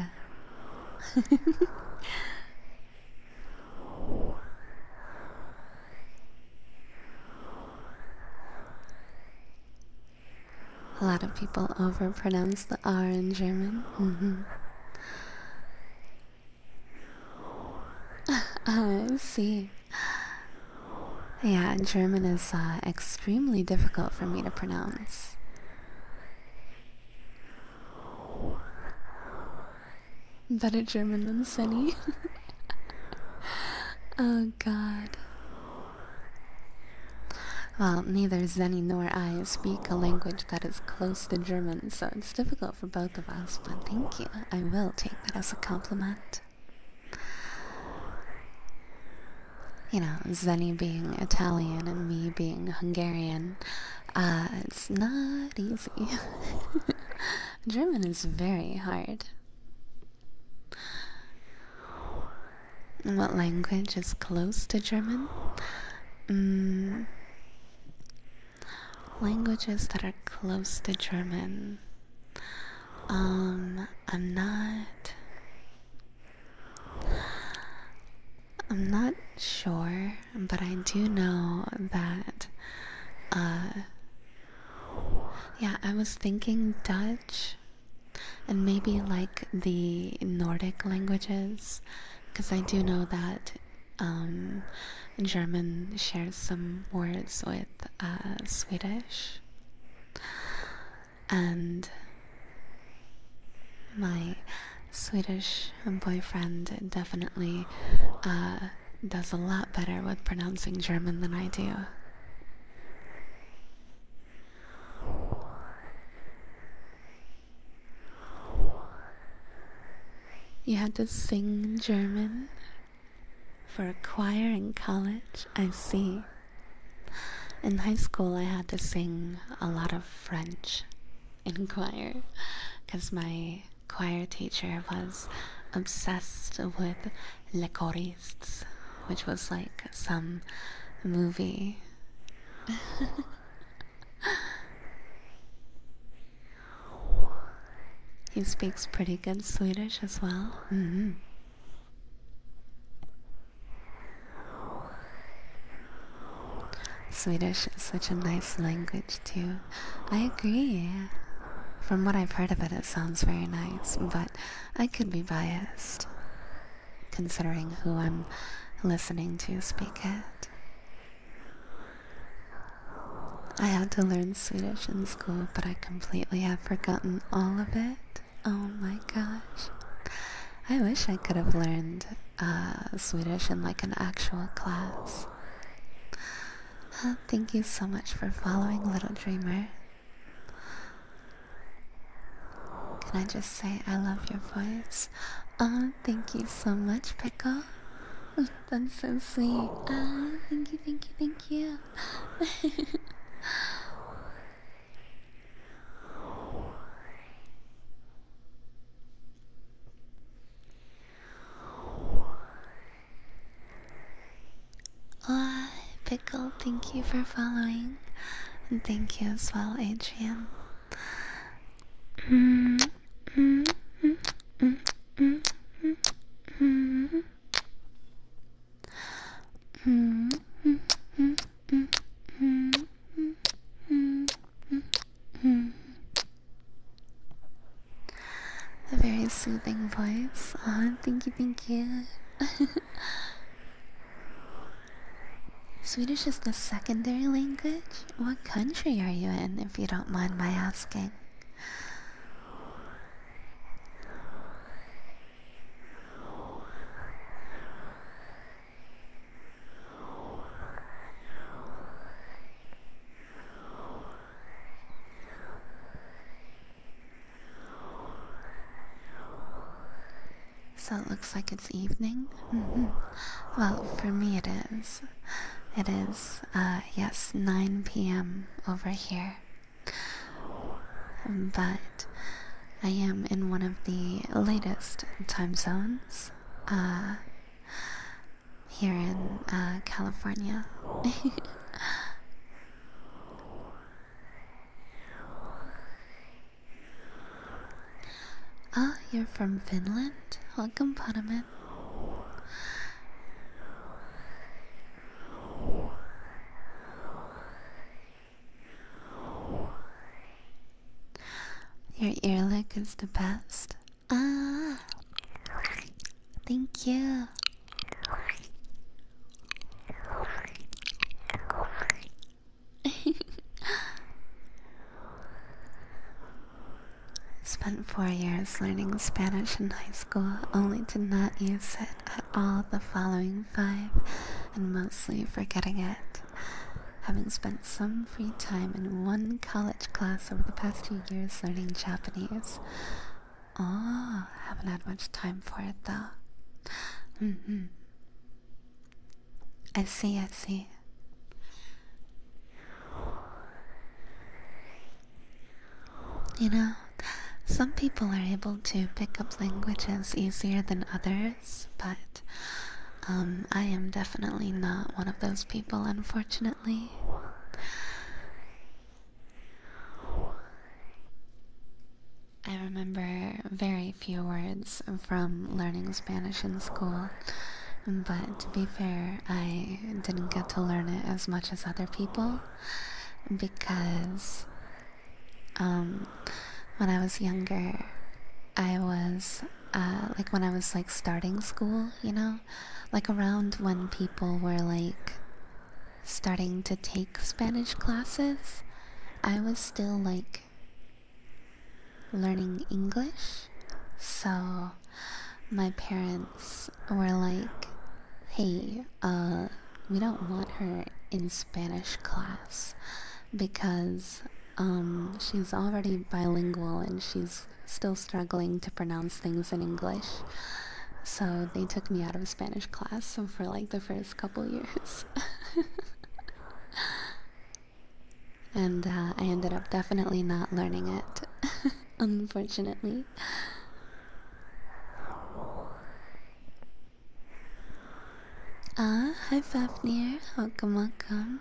A lot of people overpronounce the R in German. Mm-hmm. Oh, I see. Yeah, German is uh, extremely difficult for me to pronounce. Better German than Sunny. oh God. Well, neither Zenny nor I speak a language that is close to German, so it's difficult for both of us, but thank you. I will take that as a compliment. You know, Zenny being Italian and me being Hungarian, uh, it's not easy. German is very hard. What language is close to German? Mm. Languages that are close to German. Um, I'm not. I'm not sure, but I do know that. Uh, yeah, I was thinking Dutch and maybe like the Nordic languages, because I do know that um, German shares some words with uh, Swedish, and my Swedish boyfriend definitely uh, does a lot better with pronouncing German than I do. You had to sing German for a choir in college? I see. In high school, I had to sing a lot of French in choir because my choir teacher was obsessed with Le Coris which was like some movie. he speaks pretty good Swedish as well. Mm-hmm. Swedish is such a nice language, too. I agree. From what I've heard of it, it sounds very nice, but I could be biased considering who I'm listening to speak at, I had to learn Swedish in school, but I completely have forgotten all of it. Oh my gosh. I wish I could have learned uh, Swedish in like an actual class. thank you so much for following Little Dreamer. Can I just say I love your voice? Oh, thank you so much, Pickle. That's so sweet. Oh, thank you, thank you, thank you. oh, Pickle, Thank you for following. And thank you as well, Adrian. A very soothing voice. Oh, thank you, thank you. Swedish is the secondary language? What country are you in, if you don't mind my asking? So it looks like it's evening? Mm-hmm. Well, for me it is. It is, uh, yes, 9 p.m. over here. But I am in one of the latest time zones, uh, here in uh, California. Ah, you're from Finland? Welcome, Panaman. Your earlick is the best. Ah, thank you. Spent four years learning Spanish in high school, only to not use it at all the following five, and mostly forgetting it. Having spent some free time in one college class over the past two years learning Japanese. Oh, haven't had much time for it though. Mm-hmm. I see, I see. You know, some people are able to pick up languages easier than others, but um, I am definitely not one of those people, unfortunately. I remember very few words from learning Spanish in school, but to be fair, I didn't get to learn it as much as other people because um, when I was younger, I was uh, like when I was like starting school, you know, like around when people were like starting to take Spanish classes, I was still like learning English. So my parents were like, hey, uh, we don't want her in Spanish class because um, she's already bilingual and she's still struggling to pronounce things in English. So they took me out of Spanish class for like the first couple years. and uh, I ended up definitely not learning it, unfortunately. Ah, hi Fafnir, welcome, welcome.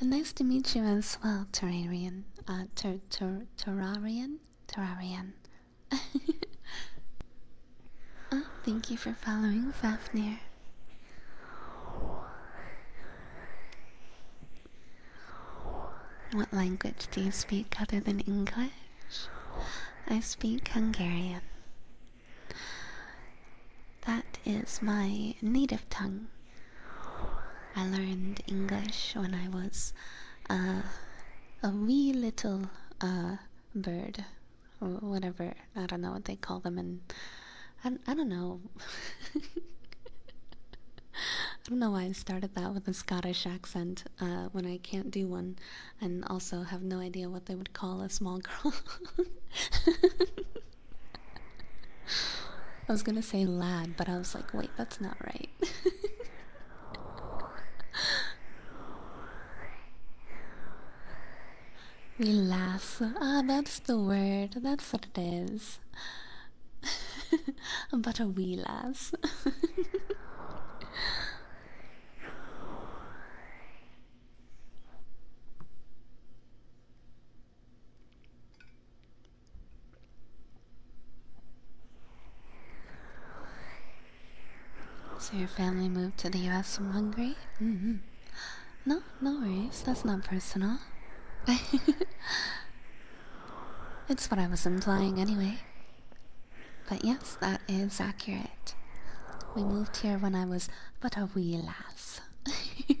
And nice to meet you as well, Terrarian. Uh, ter ter Terrarian? Terrarian. Oh, thank you for following Fafnir. What language do you speak other than English? I speak Hungarian. That is my native tongue. I learned English when I was uh, a wee little uh, bird whatever. I don't know what they call them, and I, I don't know. I don't know why I started that with a Scottish accent uh, when I can't do one, and also have no idea what they would call a small girl. I was gonna say lad, but I was like, wait, that's not right. Relax. Ah, that's the word. That's what it is. but a relax. So your family moved to the US from Hungary? Mm-hmm. No, no worries. That's not personal. it's what I was implying anyway. But yes, that is accurate. We moved here when I was but a wee lass.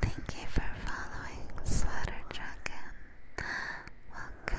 Thank you for following Sweater Dragon. Welcome.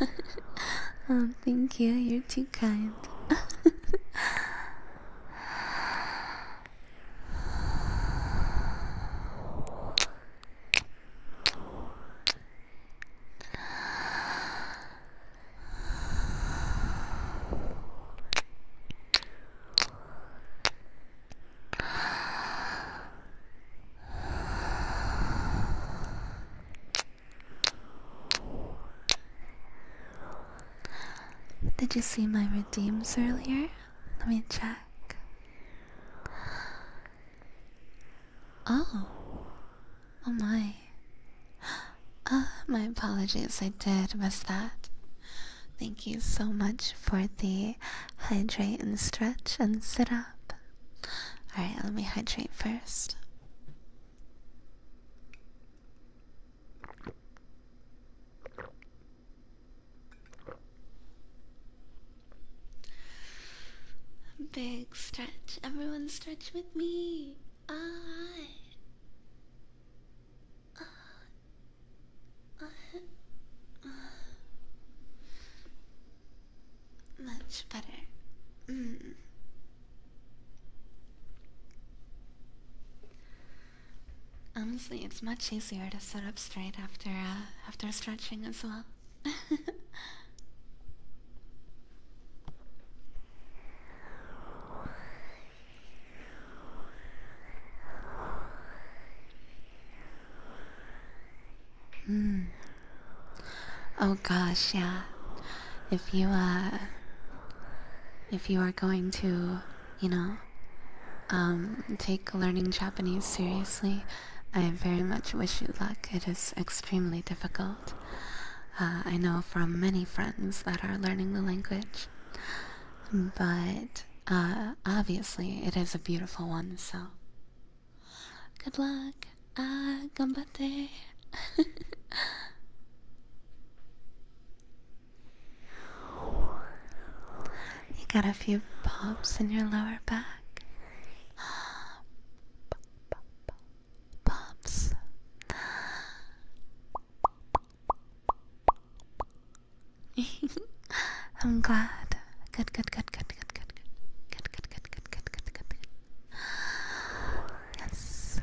oh, thank you. You're too kind. Did you see my redeems earlier? Let me check. Oh. Oh my. Uh, my apologies, I did miss that. Thank you so much for the hydrate and stretch and sit up. Alright, let me hydrate first. Big stretch. Everyone stretch with me. I. Uh, ah. uh, much better. Mm. Honestly, it's much easier to sit up straight after uh, after stretching as well mm. Oh gosh, yeah. If you uh if you are going to, you know, um take learning Japanese seriously, I very much wish you luck. It is extremely difficult. Uh, I know from many friends that are learning the language, but uh, obviously it is a beautiful one, so good luck. Ah, you got a few pops in your lower back. Pumps. I'm glad. Good, good, good, good, good, good, good, good, good, good, good, good, good, good. Yes.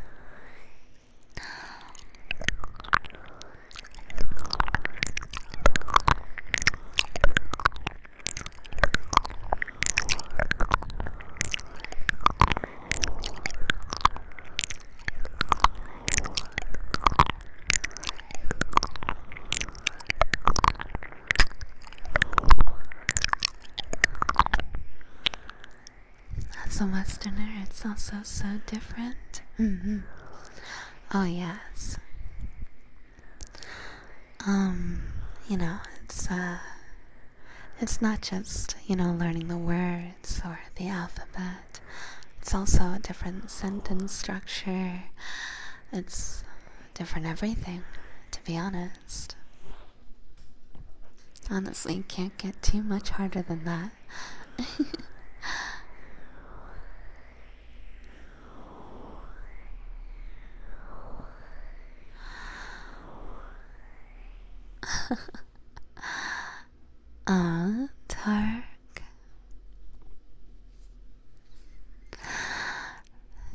As a Westerner, it's also so different. Mm -hmm. Oh, yes. Um, you know, it's, uh, it's not just, you know, learning the words or the alphabet. It's also a different sentence structure. It's different everything, to be honest. Honestly, can't get too much harder than that. Ah,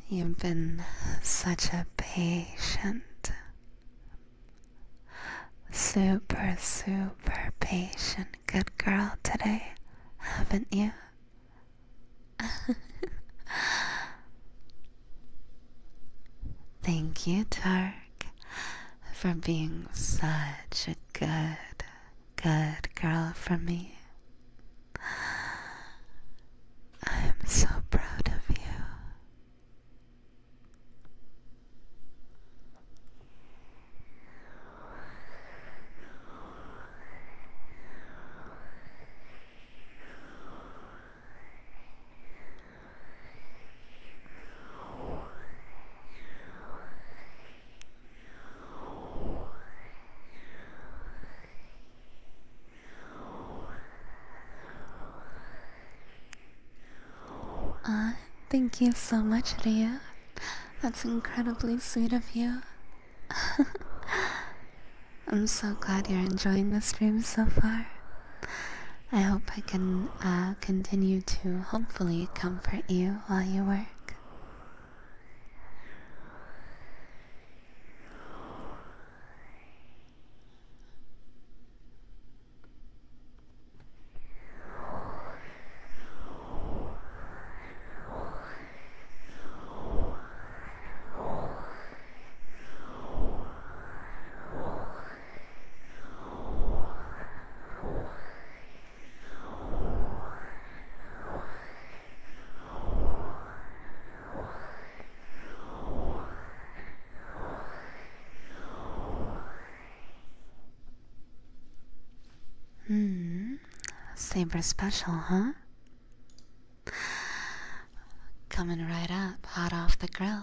You've been such a patient, super, super patient good girl today, haven't you? Thank you, Turk, for being such a good, good girl for me. I'm so proud of you. Ah, thank you so much, Ria. That's incredibly sweet of you. I'm so glad you're enjoying the stream so far. I hope I can uh, continue to hopefully comfort you while you work. Hmm, Saber special, huh? Coming right up, hot off the grill.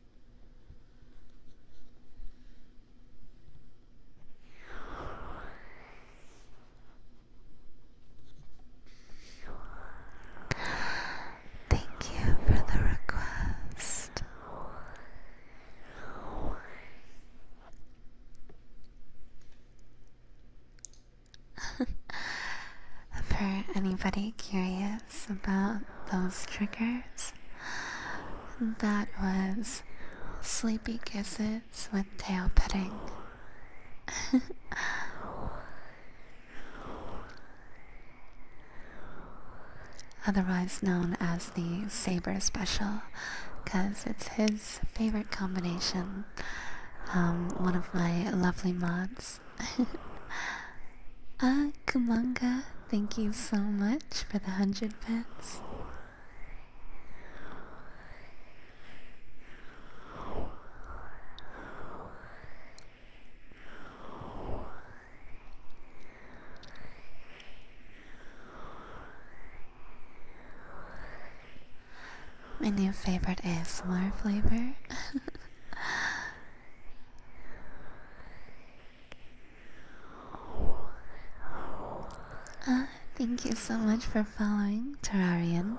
Thank you for the request. for anybody curious, about those triggers. That was sleepy kisses with tail petting. Otherwise known as the Saber Special, because it's his favorite combination. Um, one of my lovely mods ah, Kumanga, thank you so much for the hundred bits. My new favorite is more flavor. Uh, thank you so much for following, Terrarian.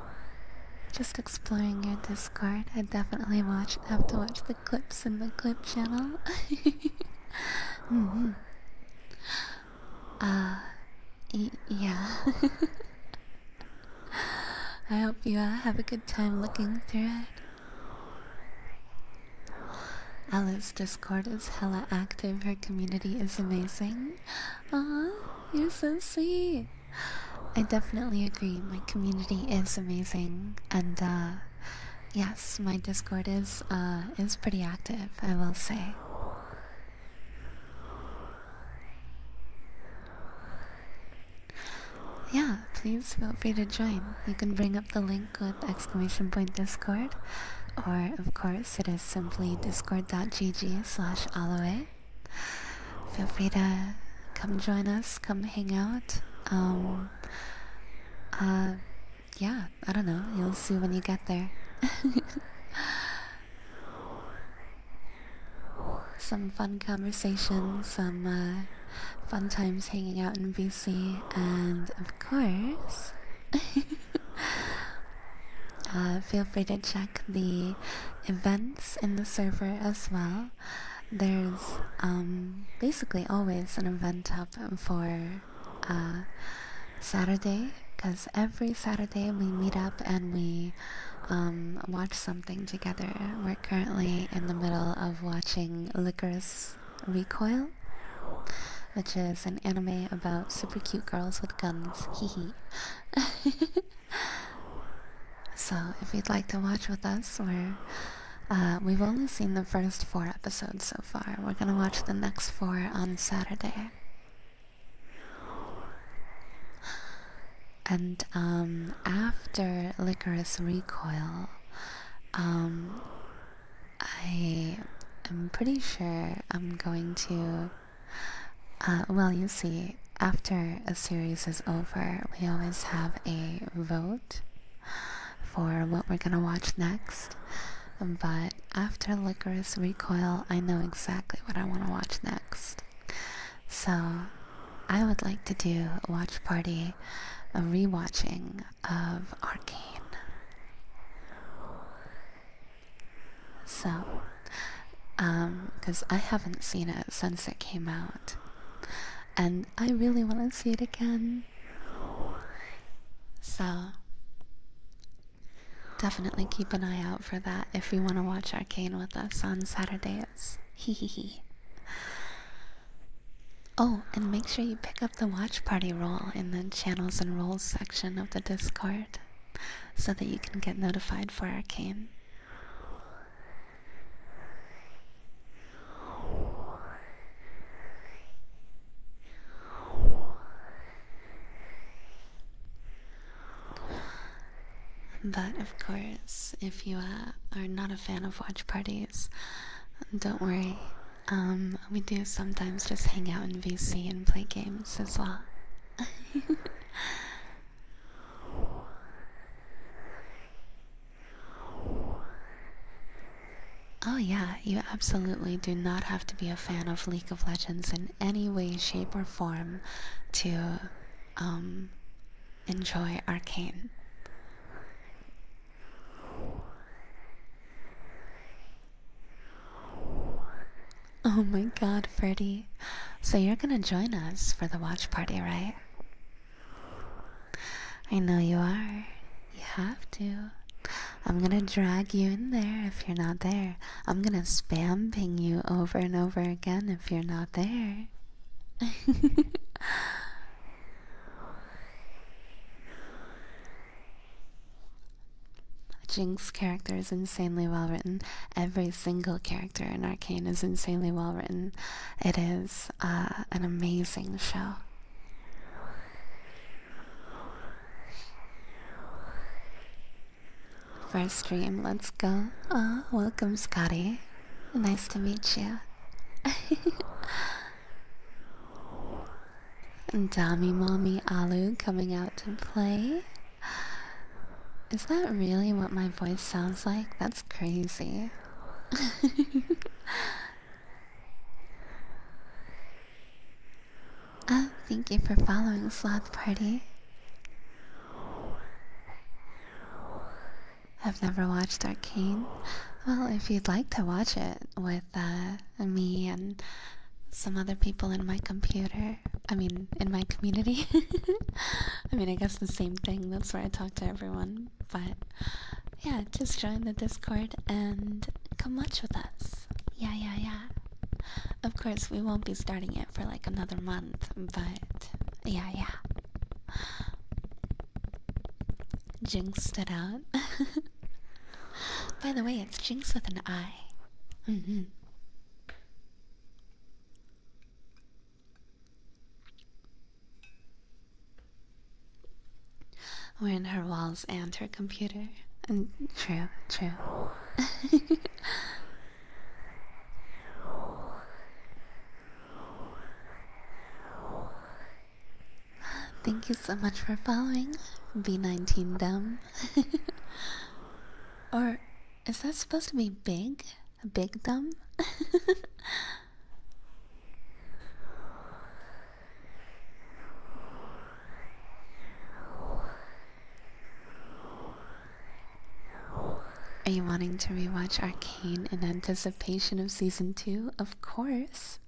Just exploring your Discord. I definitely watched have to watch the clips in the clip channel. mm yeah. I hope you uh, have a good time looking through it. Alice Discord is hella active. Her community is amazing. Aw, you're so sweet. I definitely agree. My community is amazing, and uh, yes, my Discord is uh, is pretty active. I will say. Yeah, please feel free to join. You can bring up the link with exclamation point Discord, or of course it is simply discord.gg slash aloe feel free to come join us, come hang out. Um, uh, yeah, I don't know. You'll see when you get there. some fun conversations, some uh, fun times hanging out in BC, and of course, uh, feel free to check the events in the server as well there's um, basically always an event up for uh, Saturday because every Saturday we meet up and we um, watch something together. We're currently in the middle of watching Licorice Recoil, which is an anime about super cute girls with guns. Hee So, if you'd like to watch with us, we're, uh, we've only seen the first four episodes so far. We're gonna watch the next four on Saturday. And um, after Licorice Recoil, um, I am pretty sure I'm going to. Uh, well, you see, after a series is over, we always have a vote for what we're gonna watch next. But after Licorice Recoil, I know exactly what I want to watch next. So I would like to do a watch party, a rewatching of Arcane. So, um, because I haven't seen it since it came out and I really want to see it again. So, definitely keep an eye out for that if you want to watch Arcane with us on Saturdays. Hehehe. oh, and make sure you pick up the watch party role in the channels and roles section of the Discord so that you can get notified for Arcane. But of course, if you uh, are not a fan of watch parties, don't worry. Um, we do sometimes just hang out in VC and play games as well. Oh, yeah, you absolutely do not have to be a fan of League of Legends in any way, shape, or form to um, enjoy Arcane. Oh my god, Freddy. So you're gonna join us for the watch party, right? I know you are. You have to. I'm gonna drag you in there if you're not there. I'm gonna spam ping you over and over again if you're not there. Jinx character is insanely well written. Every single character character in Arcane is insanely well written. It is uh, an amazing show. First stream, let's go. welcome, Scotty. Nice to meet you. And Dami Mommy Alu coming out to play. Is that really what my voice sounds like? That's crazy oh, thank you for following Sloth Party. I've never watched Arcane. Well, if you'd like to watch it with uh, me and some other people in my computer, I mean, in my community, I mean, I guess the same thing, that's where I talk to everyone, but yeah, just join the Discord and come watch with us. Yeah, yeah, yeah. Of course, we won't be starting it for like another month, but yeah, yeah. Jinxed it out. By the way, it's Jinx with an I. Mm-hmm. We're in her walls and her computer. And mm, true, true. Thank you so much for following B19 Dumb. or is that supposed to be big? a big thumb. Are you wanting to rewatch Arcane in anticipation of season 2? Of course.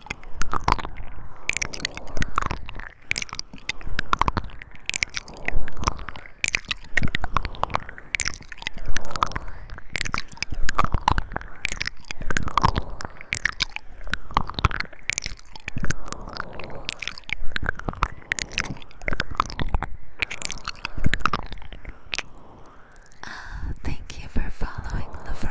Uh, thank you for following, Lefroy.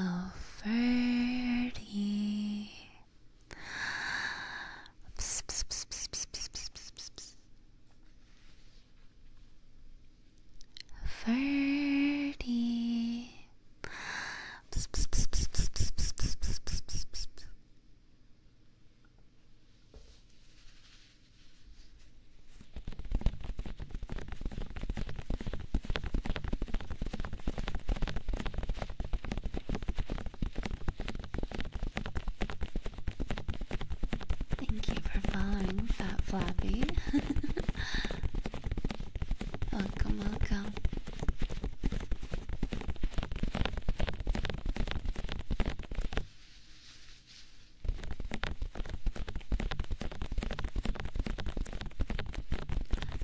Oh, Ferdy, Psst, Thank you for following, Fat Flappy. welcome, welcome.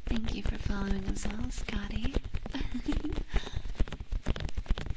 Thank you for following as well, Scotty.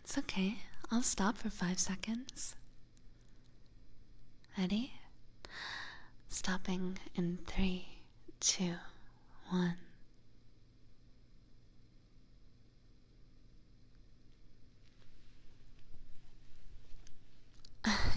It's okay. I'll stop for five seconds. Ready? Stopping in three, two, one.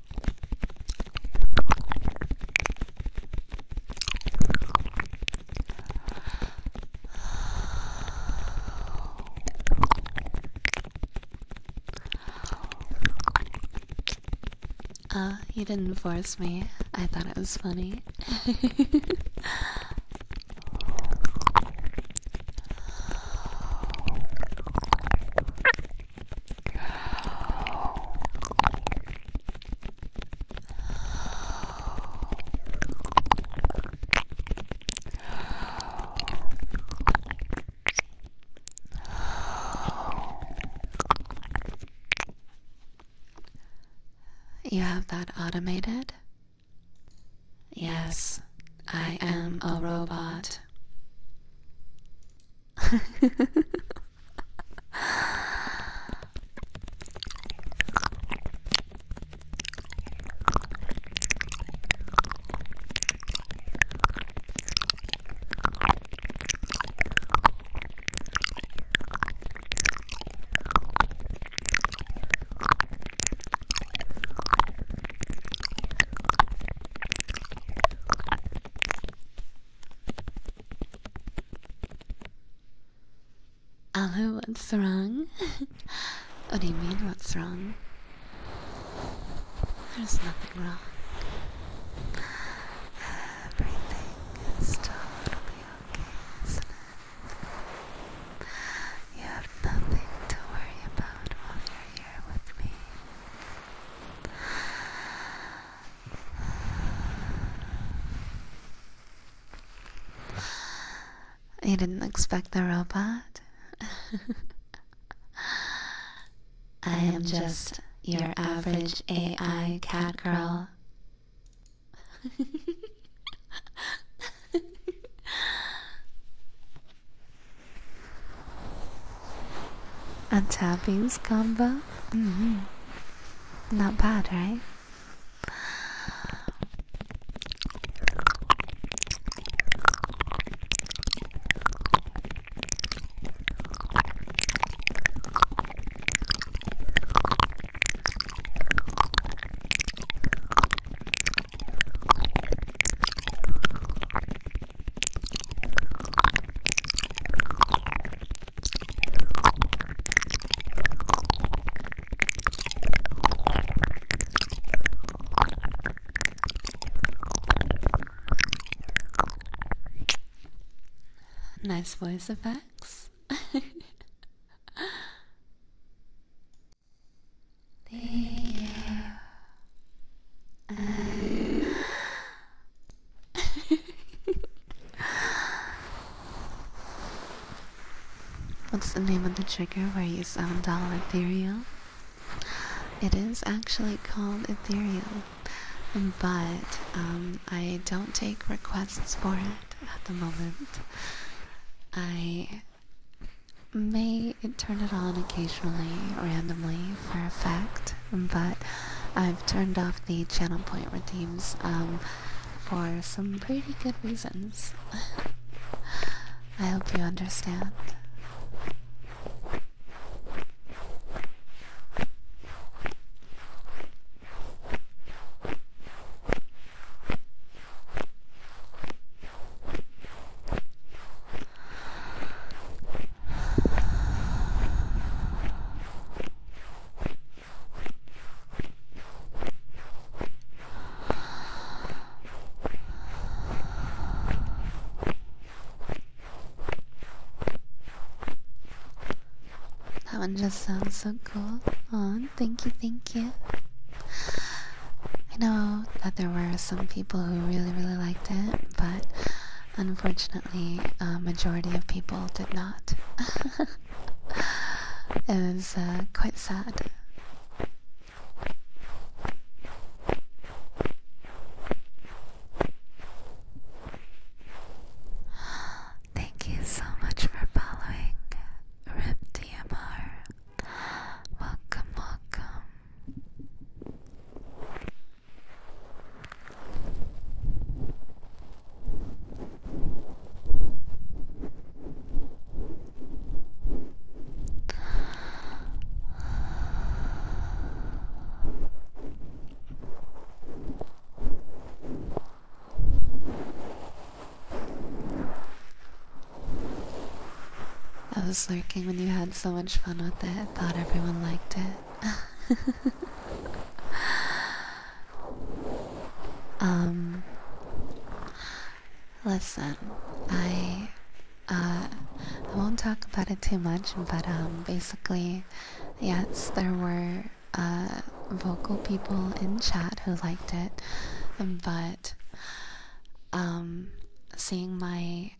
Uh, you didn't force me. I thought it was funny. You have that automated? Yes. I am a robot. Hello, what's wrong? what do you mean, what's wrong? There's nothing wrong. Everything is totally okay, isn't it? You have nothing to worry about while you're here with me. You didn't expect the robot? I am just your average AI cat girl. A tapping's combo? -hmm. Not bad, right? Nice voice effects. the um. What's the name of the trigger where you sound all ethereal? It is actually called ethereal, but um, I don't take requests for it at the moment. I may turn it on occasionally, randomly, for a fact, but I've turned off the channel point redeems um, for some pretty good reasons. I hope you understand. That one just sounds so cool. Oh, thank you, thank you. I know that there were some people who really, really liked it, but Unfortunately, a majority of people did not. it was uh, quite sad. Thank you so much for following Rip DMR. Welcome, welcome. I was lurking when you had so much fun with it, thought everyone liked it. um listen, I uh I won't talk about it too much, but um basically yes, there were uh vocal people in chat who liked it, but um seeing my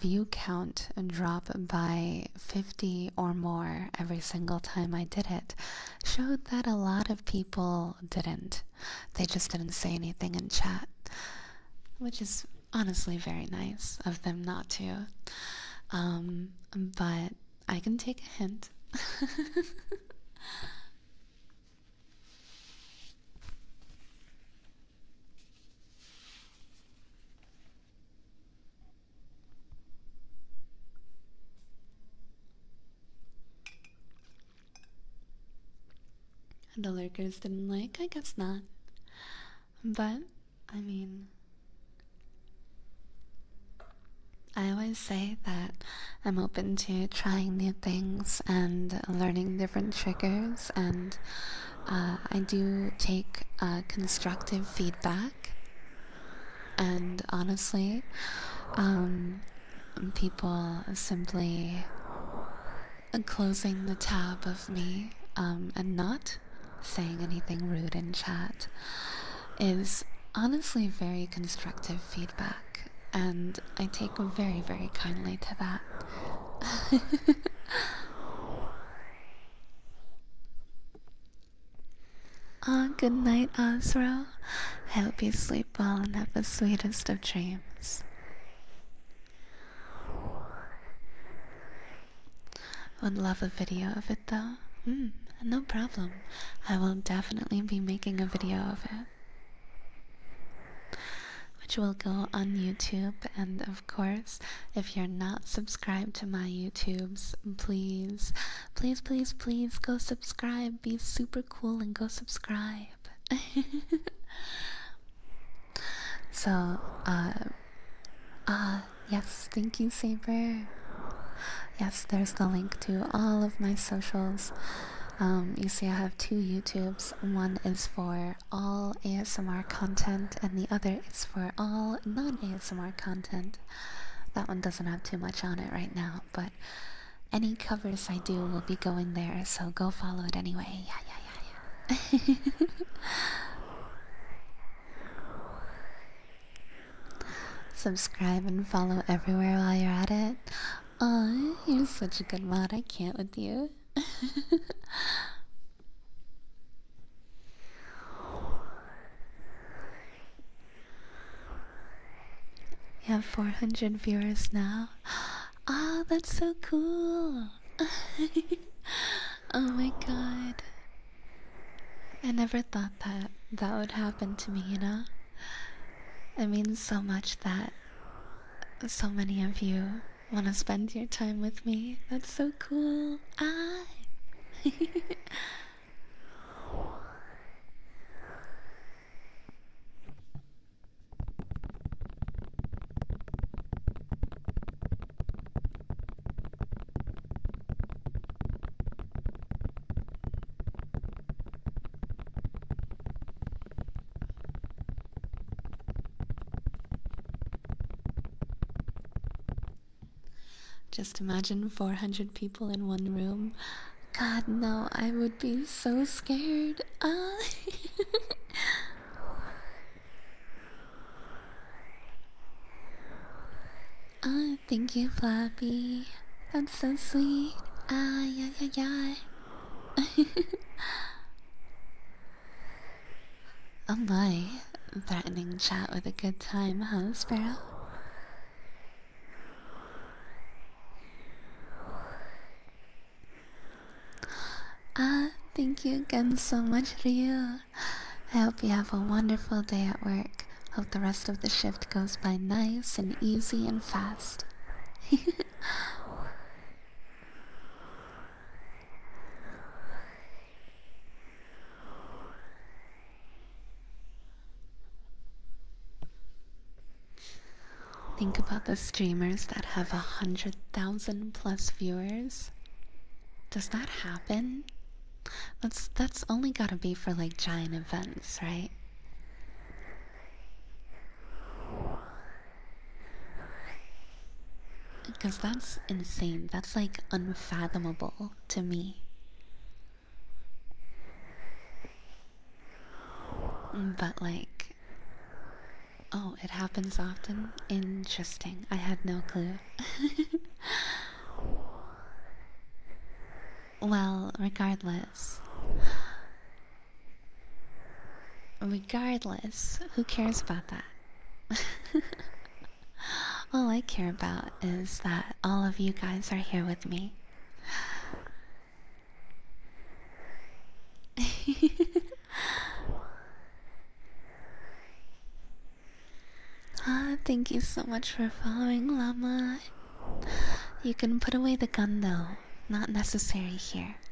view count drop by 50 or more every single time I did it showed that a lot of people didn't. They just didn't say anything in chat, which is honestly very nice of them not to. Um, but I can take a hint. The lurkers didn't like? I guess not. But, I mean, I always say that I'm open to trying new things and learning different triggers and uh, I do take uh, constructive feedback, and honestly, um, people simply closing the tab of me um, and not saying anything rude in chat is honestly very constructive feedback, and I take very, very kindly to that. Ah, good night, I hope you sleep well and have the sweetest of dreams. Would love a video of it though. Mm, no problem. I will definitely be making a video of it. Which will go on YouTube and, of of course, if you're not subscribed to my YouTubes, please, please, please, please go subscribe. Be super cool and go subscribe. so, uh, uh, yes, thank you, Saber. Yes, there's the link to all of my socials. Um, you see, I have two YouTubes. One is for for all ASMR content, and the other is for all non ASMR content. That one doesn't have too much on it right now, but any covers I do will be going there, so go follow it anyway. Yeah, yeah, yeah, yeah. Subscribe and follow everywhere while you're at it. Aw, you're such a good mod, I can't with you. We have 400 viewers now. Ah, oh, that's so cool! oh my god. I never thought that that would happen to me, you know? It means so much that so many of you Want to spend your time with me? That's so cool. I. Just imagine 400 people in one room. God, no, I would be so scared. Uh oh, thank you, Flappy. That's so sweet. Ah, yeah, yeah, yeah. Oh my, threatening chat with a good time, huh, Sparrow? Ah, thank you again so much, Ryu. I hope you have a wonderful day at work. Hope the rest of the shift goes by nice and easy and fast. Think about the streamers that have a hundred thousand plus viewers. Does that happen? That's that's only gotta be for like giant events, right? Because that's insane. That's like unfathomable to me. But like, oh, it happens often? Interesting. I had no clue. well, regardless. Regardless, who cares about that? All I care about is that all of you guys are here with me. ah, thank you so much for following, Llama. You can put away the gun though, not necessary here.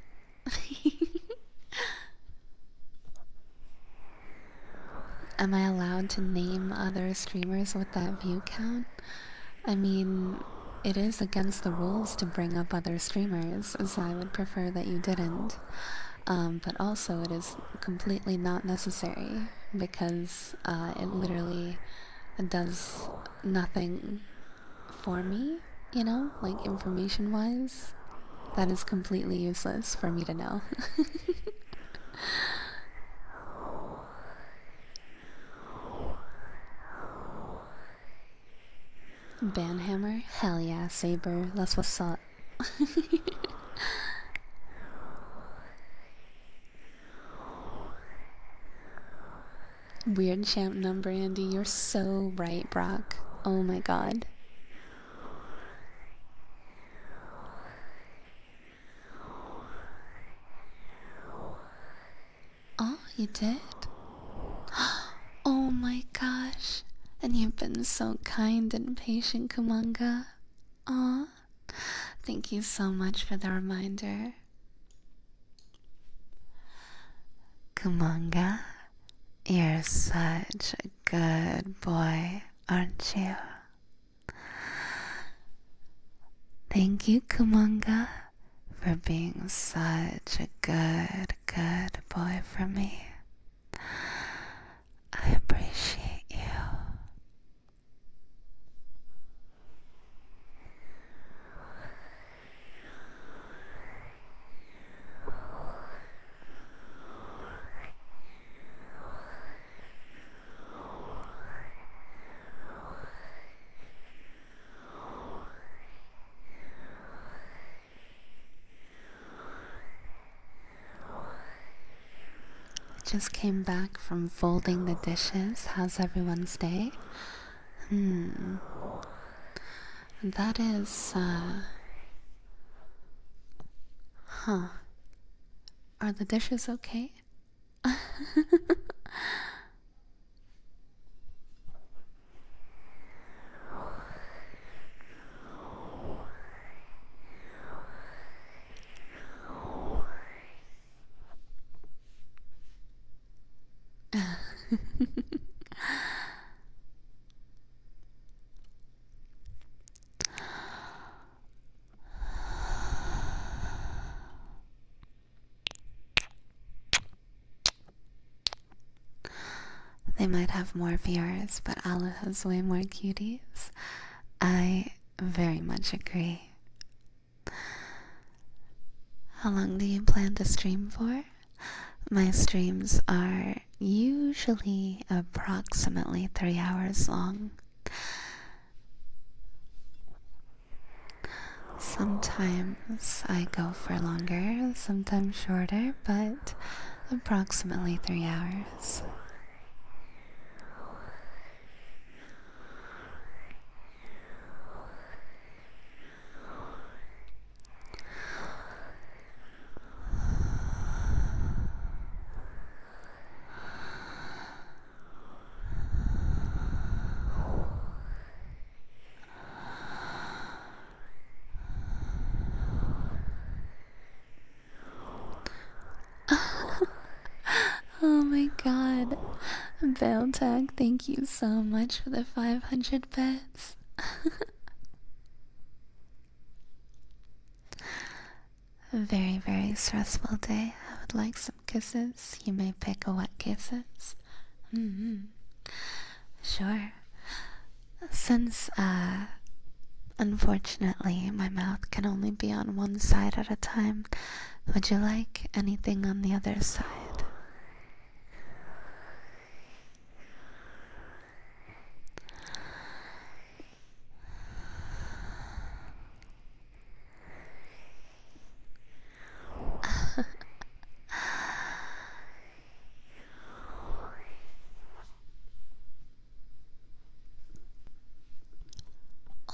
Am I allowed to name other streamers with that view count? I mean, it is against the rules to bring up other streamers, so I would prefer that you didn't. Um, but also, it is completely not necessary because uh, it literally does nothing for me, you know, like information wise. That is completely useless for me to know. Banhammer? Hell yeah, Saber, that's what's up. Weird champ number, Andy. You're so right, Brock. Oh my god. Oh, you did? Oh my gosh. And you've been so kind and patient, Kumanga. Oh, Thank you so much for the reminder. Kumanga, you're such a good boy, aren't you? Thank you, Kumanga, for being such a good, good boy for me. I appreciate you. Just came back from folding the dishes. How's everyone's day? Hmm. That is, uh, Huh. Are the dishes okay? They might have more viewers, but Allah has way more cuties. I very much agree. How long do you plan to stream for? My streams are usually approximately three hours long. Sometimes I go for longer, sometimes shorter, but approximately three hours oh my god. bell tag! thank you so much for the 500 bits. A very, very stressful day. I would like some kisses. You may pick what kisses. Mm -hmm. Sure. Since, uh, unfortunately, my mouth can only be on one side at a time, would you like anything on the other side?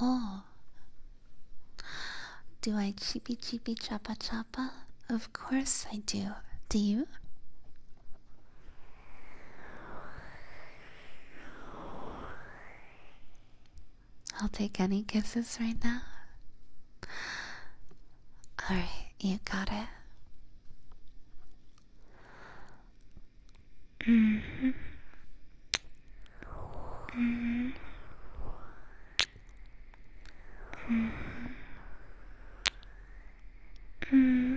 oh. Do I cheepy cheepy chapa chapa? Of course I do. Do you? I'll take any kisses right now. Alright, you got it. Mm hmm hmm hmm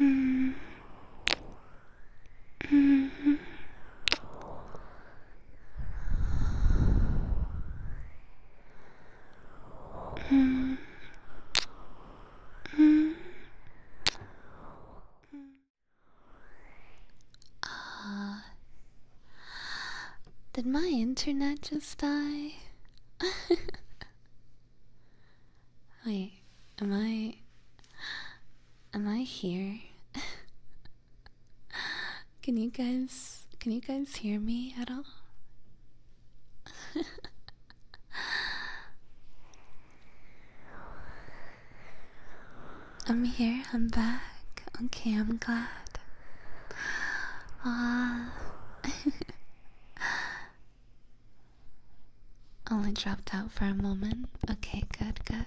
Mm. Mm -hmm. Mm. Mm. did my internet just die? Wait am I am I here? can you guys can you guys hear me at all? I'm here, I'm back. Okay, I'm glad. Ah. Only dropped out for a moment. Okay, good, good.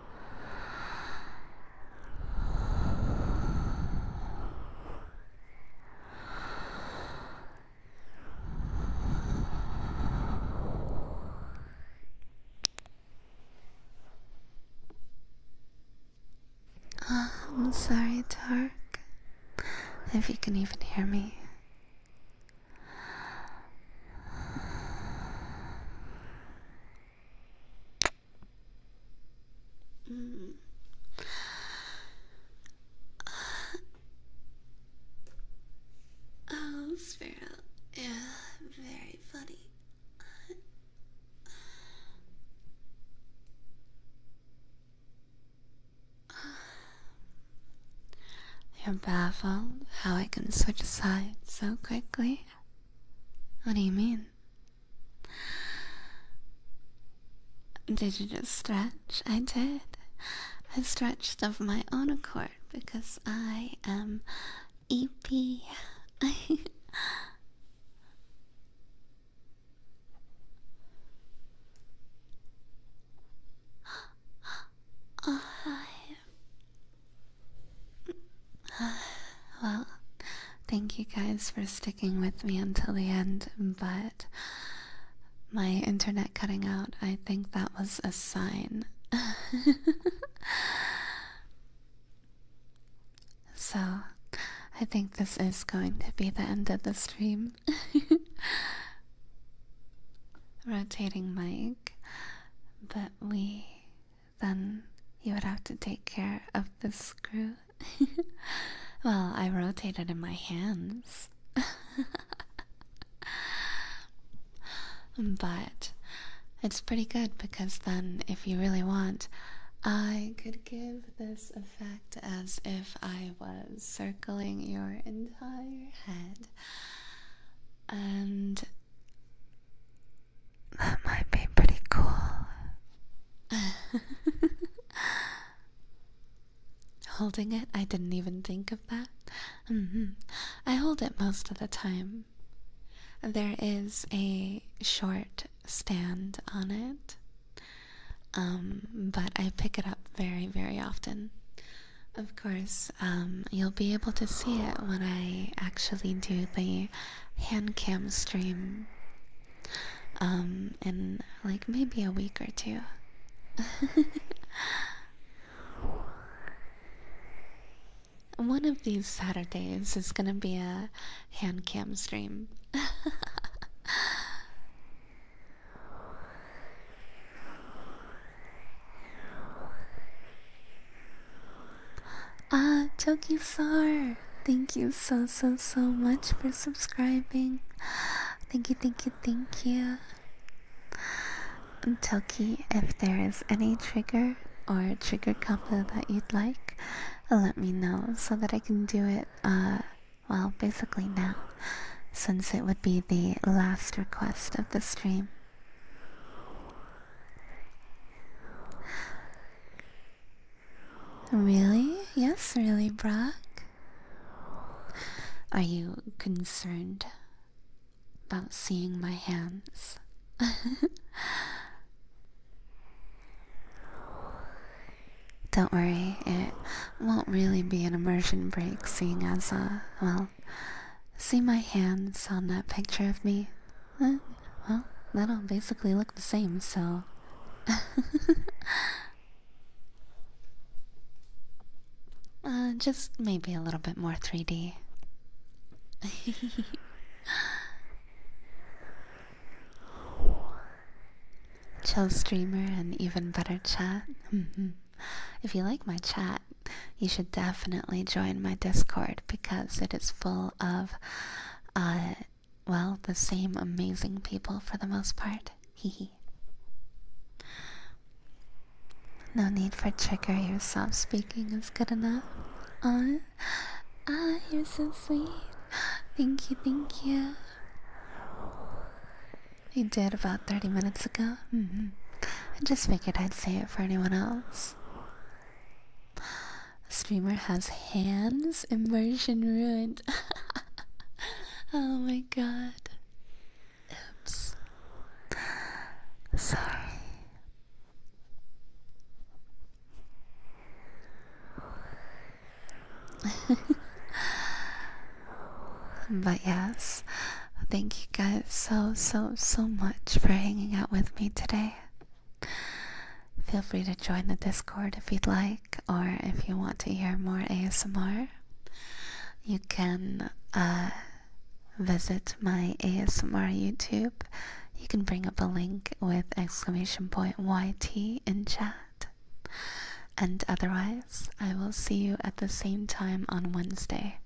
Ah, I'm sorry, Tark, if you can even hear me oh, mm. uh, Sparrow, yeah, very funny. You're baffled how I can switch sides so quickly. What do you mean? Did you just stretch? I did. I stretched of my own accord because I am EP. oh, hi. well, thank you guys for sticking with me until the end, but my internet cutting out, I think that was a sign. so, I think this is going to be the end of the stream. Rotating mic, but we then you would have to take care of the screw. well, I rotate it in my hands. but it's pretty good because then, if you really want, I could give this effect as if I was circling your entire head. And that might be pretty cool. Holding it? I didn't even think of that. Mm-hmm. I hold it most of the time. There is a short stand on it, um, but I pick it up very, very often. Of course, um, you'll be able to see it when I actually do the hand cam stream um, in like maybe a week or two. One of these Saturdays is gonna be a hand cam stream. Ah, Chokisar, thank you so so so much for subscribing. Thank you, thank you, thank you. Um, Toki, if there is any trigger or trigger combo that you'd like, let me know so that I can do it, uh, well, basically now, since it would be the last request of the stream. Really? Yes, really, Brock? Are you concerned about seeing my hands? Don't worry, it won't really be an immersion break seeing as, uh, well, see my hands on that picture of me? well, that'll basically look the same, so. Uh, just maybe a little bit more 3D. Chill streamer and even better chat. Mm-hmm. if you like my chat, you should definitely join my Discord because it is full of uh, well, the same amazing people for the most part. Hehe. no need for trigger, your soft speaking is good enough. Aw, ah, you're so sweet. Thank you, thank you. You did about 30 minutes ago? Mm -hmm. I just figured I'd say it for anyone else. Streamer has hands. Immersion ruined. oh my god. Oops. Sorry. but yes, thank you guys so, so, so much for hanging out with me today. Feel free to join the Discord if you'd like, or if you want to hear more ASMR, you can uh, visit my ASMR YouTube. You can bring up a link with exclamation point YT in chat. And otherwise, I will see you at the same time on Wednesday.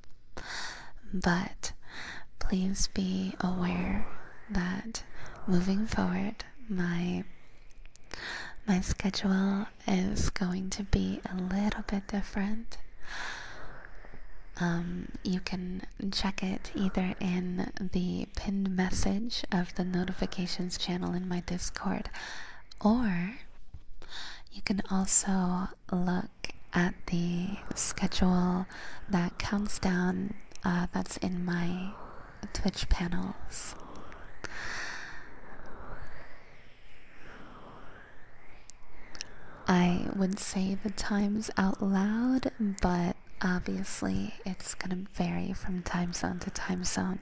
But please be aware that moving forward, my my schedule is going to be a little bit different. Um, you can check it either in the pinned message of the notifications channel in my Discord, or you can also look at the schedule that counts down uh, that's in my Twitch panels. I would say the times out loud, but obviously it's going to vary from time zone to time zone.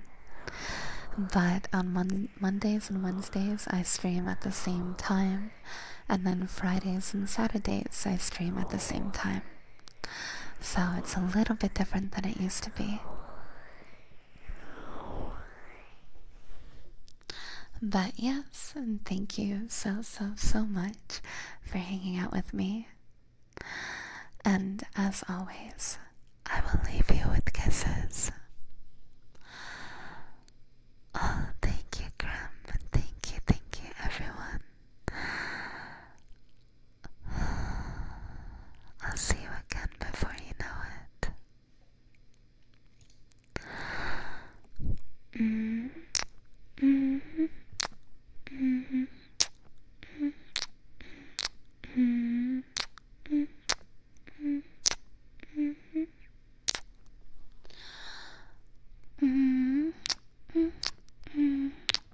But on Mondays and Wednesdays, I stream at the same time, and then Fridays and Saturdays, I stream at the same time. So it's a little bit different than it used to be. But yes, and thank you so, so, so much for hanging out with me. And as always, I will leave you with kisses. Oh, thank you, Grim. Thank you, thank you, everyone. I'll see you again before you know it.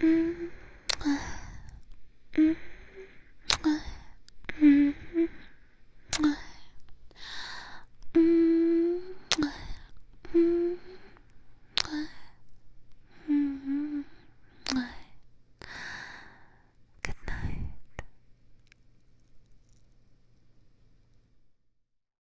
Mm -hmm. Mm -hmm. Mm -hmm. Mm -hmm. -hmm. Good night.